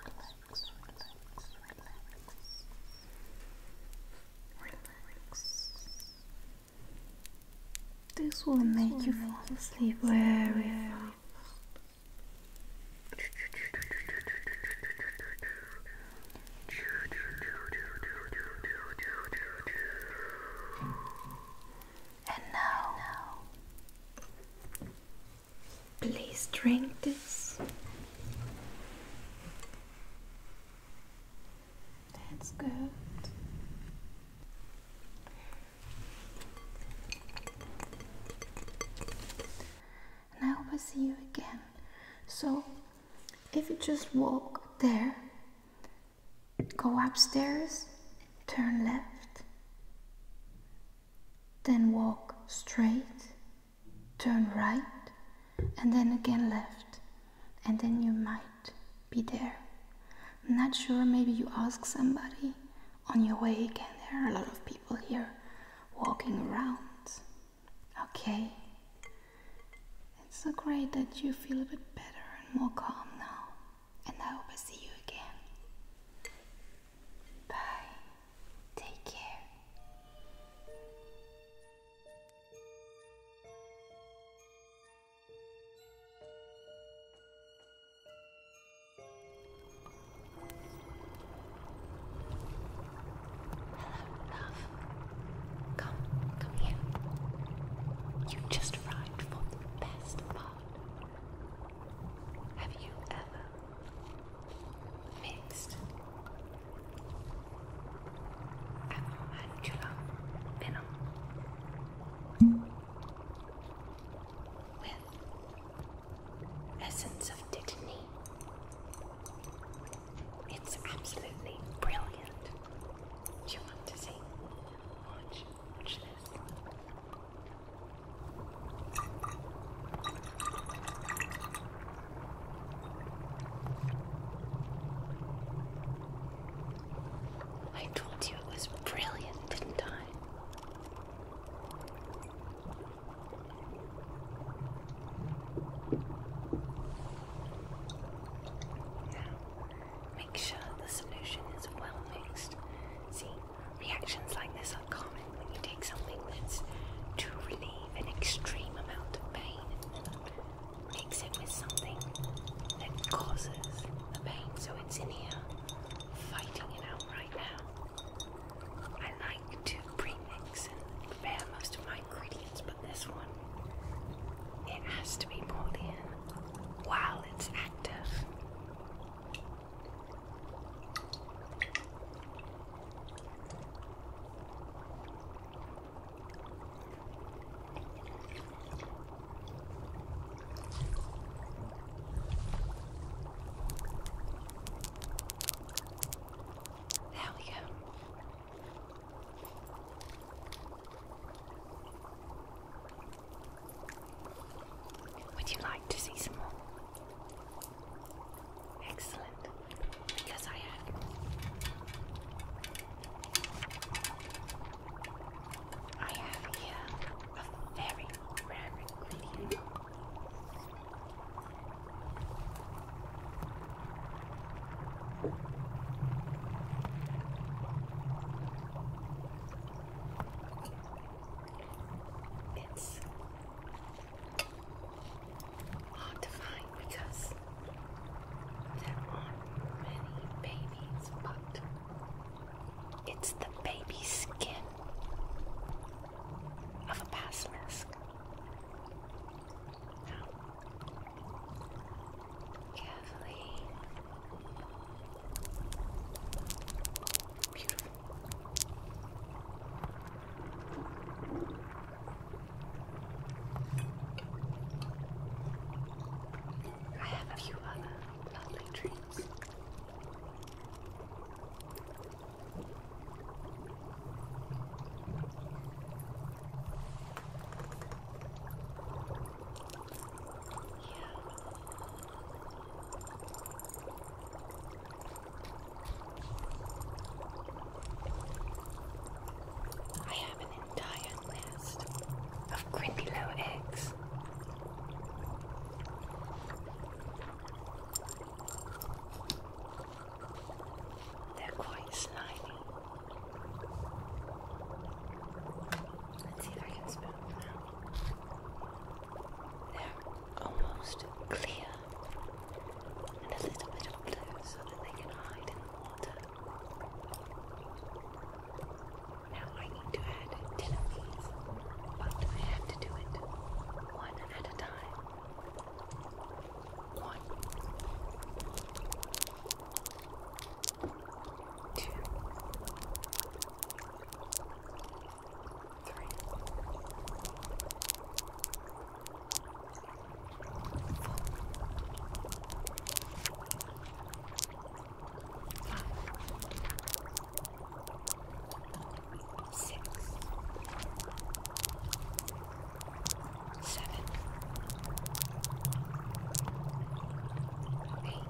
Relax. Relax. This will make you fall asleep very fast. And now, please drink this. That's good. And I hope I see you again. So, if you just walk there, go upstairs, turn left, then walk straight, turn right, and then again left, and then you might be there. I'm not sure, maybe you ask somebody on your way again. There are a lot of people here walking around. Okay. It's so great that you feel a bit better and more calm now. And I hope I see you again. Bye. Take care. Hello, love. Come, come here. You just arrived for the best part. Have you ever mixed Acromantula venom with essence of Dittany. It's absolutely brilliant. Do you want to see? Watch, watch this. I told you it was brilliant, didn't I? make sure the solution is well mixed. See, reactions like this are common when you take something that's to relieve an extreme amount of pain and mix it with something that causes the pain. So it's in here fighting it out right now. I like to premix and prepare most of my ingredients, but this one, it has to be poured in while it's active. There we go. Would you like to see some more? Excellent, because I have. I have here a very rare ingredient. It's hard to find because there aren't many babies, but it's the baby skin of a basilisk. Now, carefully. Beautiful. I have a few other lovely dreams. I have an entire nest of Grindylow eggs. They're quite slimy. Let's see if I can spoon them out. They're almost clear and a little bit of so that they can hide in the water. Now I need to add 10 of these, but I have to do it one at at a time. One, two, three, four, five six, seven, eight, nine,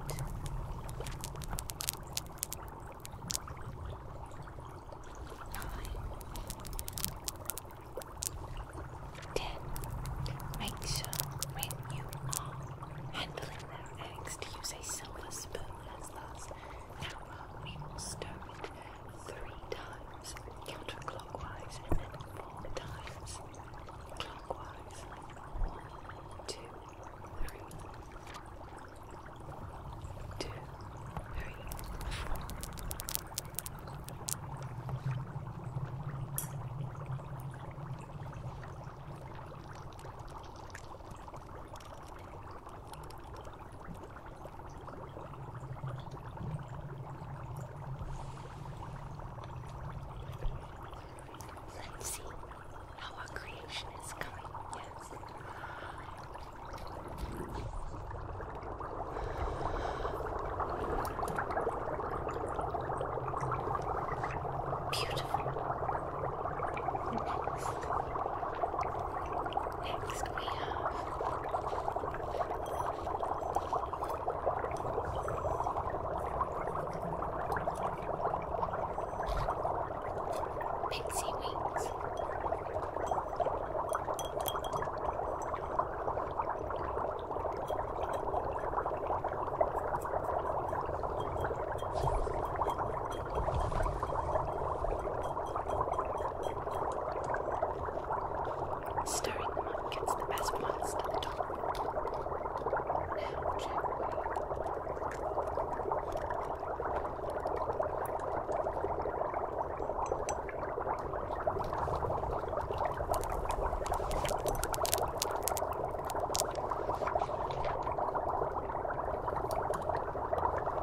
ten. Make sure when you are handling their eggs use a silver spoon as last. Now we will stir it three times counterclockwise and then four times clockwise. One, two, three. Two, three, four. Let's see how our creation is coming. Yes. Beautiful. Next. Next we have Pixie Wings. Stirring them up gets the best ones to the top. Now gently.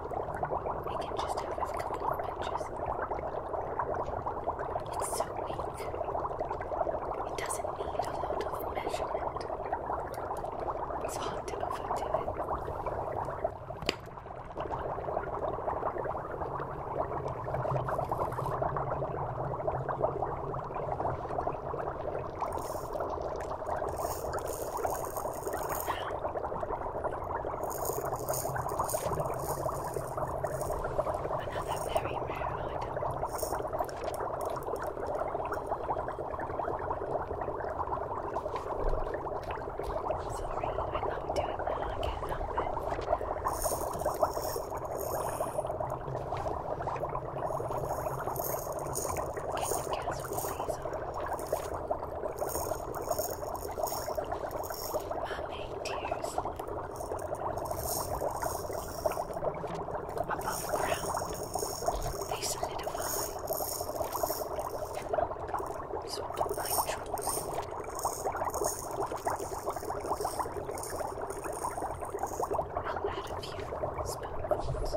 We can just have a couple of benches. It's so weak. It doesn't need a lot of measurement. It's hard to overdo it. Another very rare item. Sorry, I love doing that. I can't help it. Can you guess what Mermaid tears above ground, they solidify and look sort of like truth. I'll add a few spoonfuls.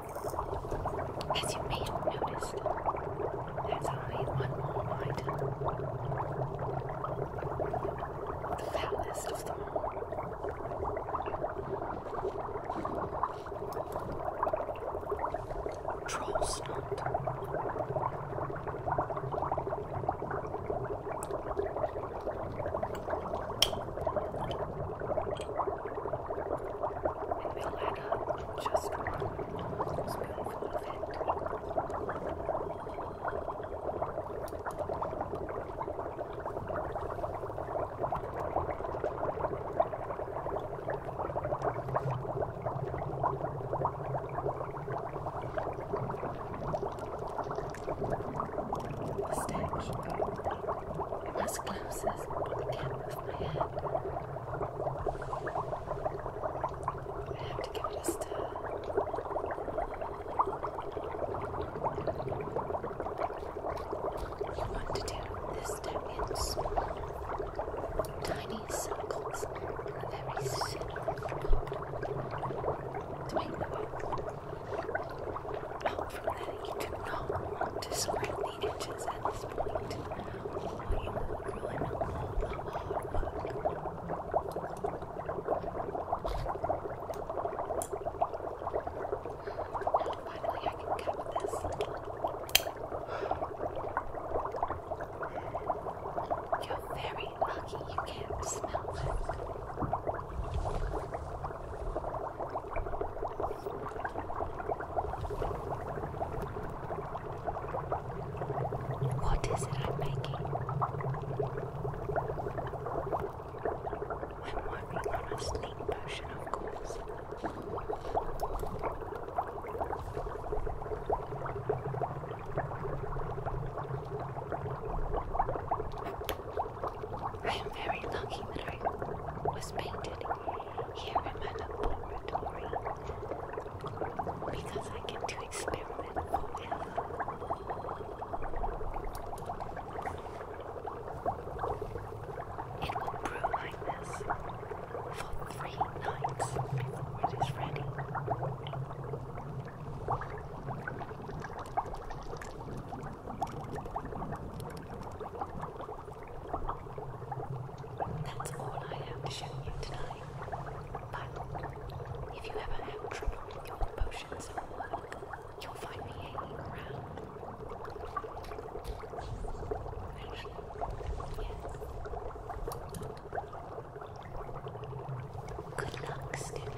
As you may have noticed, there's only one more item. The foulest of them all. Troll snot. And we'll add up just one spoonful of it. Mistake as close as I can with my hand. I have to give it a stir. You want to do this step in small, tiny circles, very simple to make the out oh, from there, you do not want to spread the edges at the hard finally, I can cap this. You're very lucky you can't smell it. What is it I'm making? I'm on a sleep potion, of course. I am very lucky that I was painted here in my laboratory because I get to experiment forever. It will brew like this for three nights before it is ready. That's all I have to show you tonight. But if you ever have trouble with your potions at work, you'll find me hanging around. Good luck, student.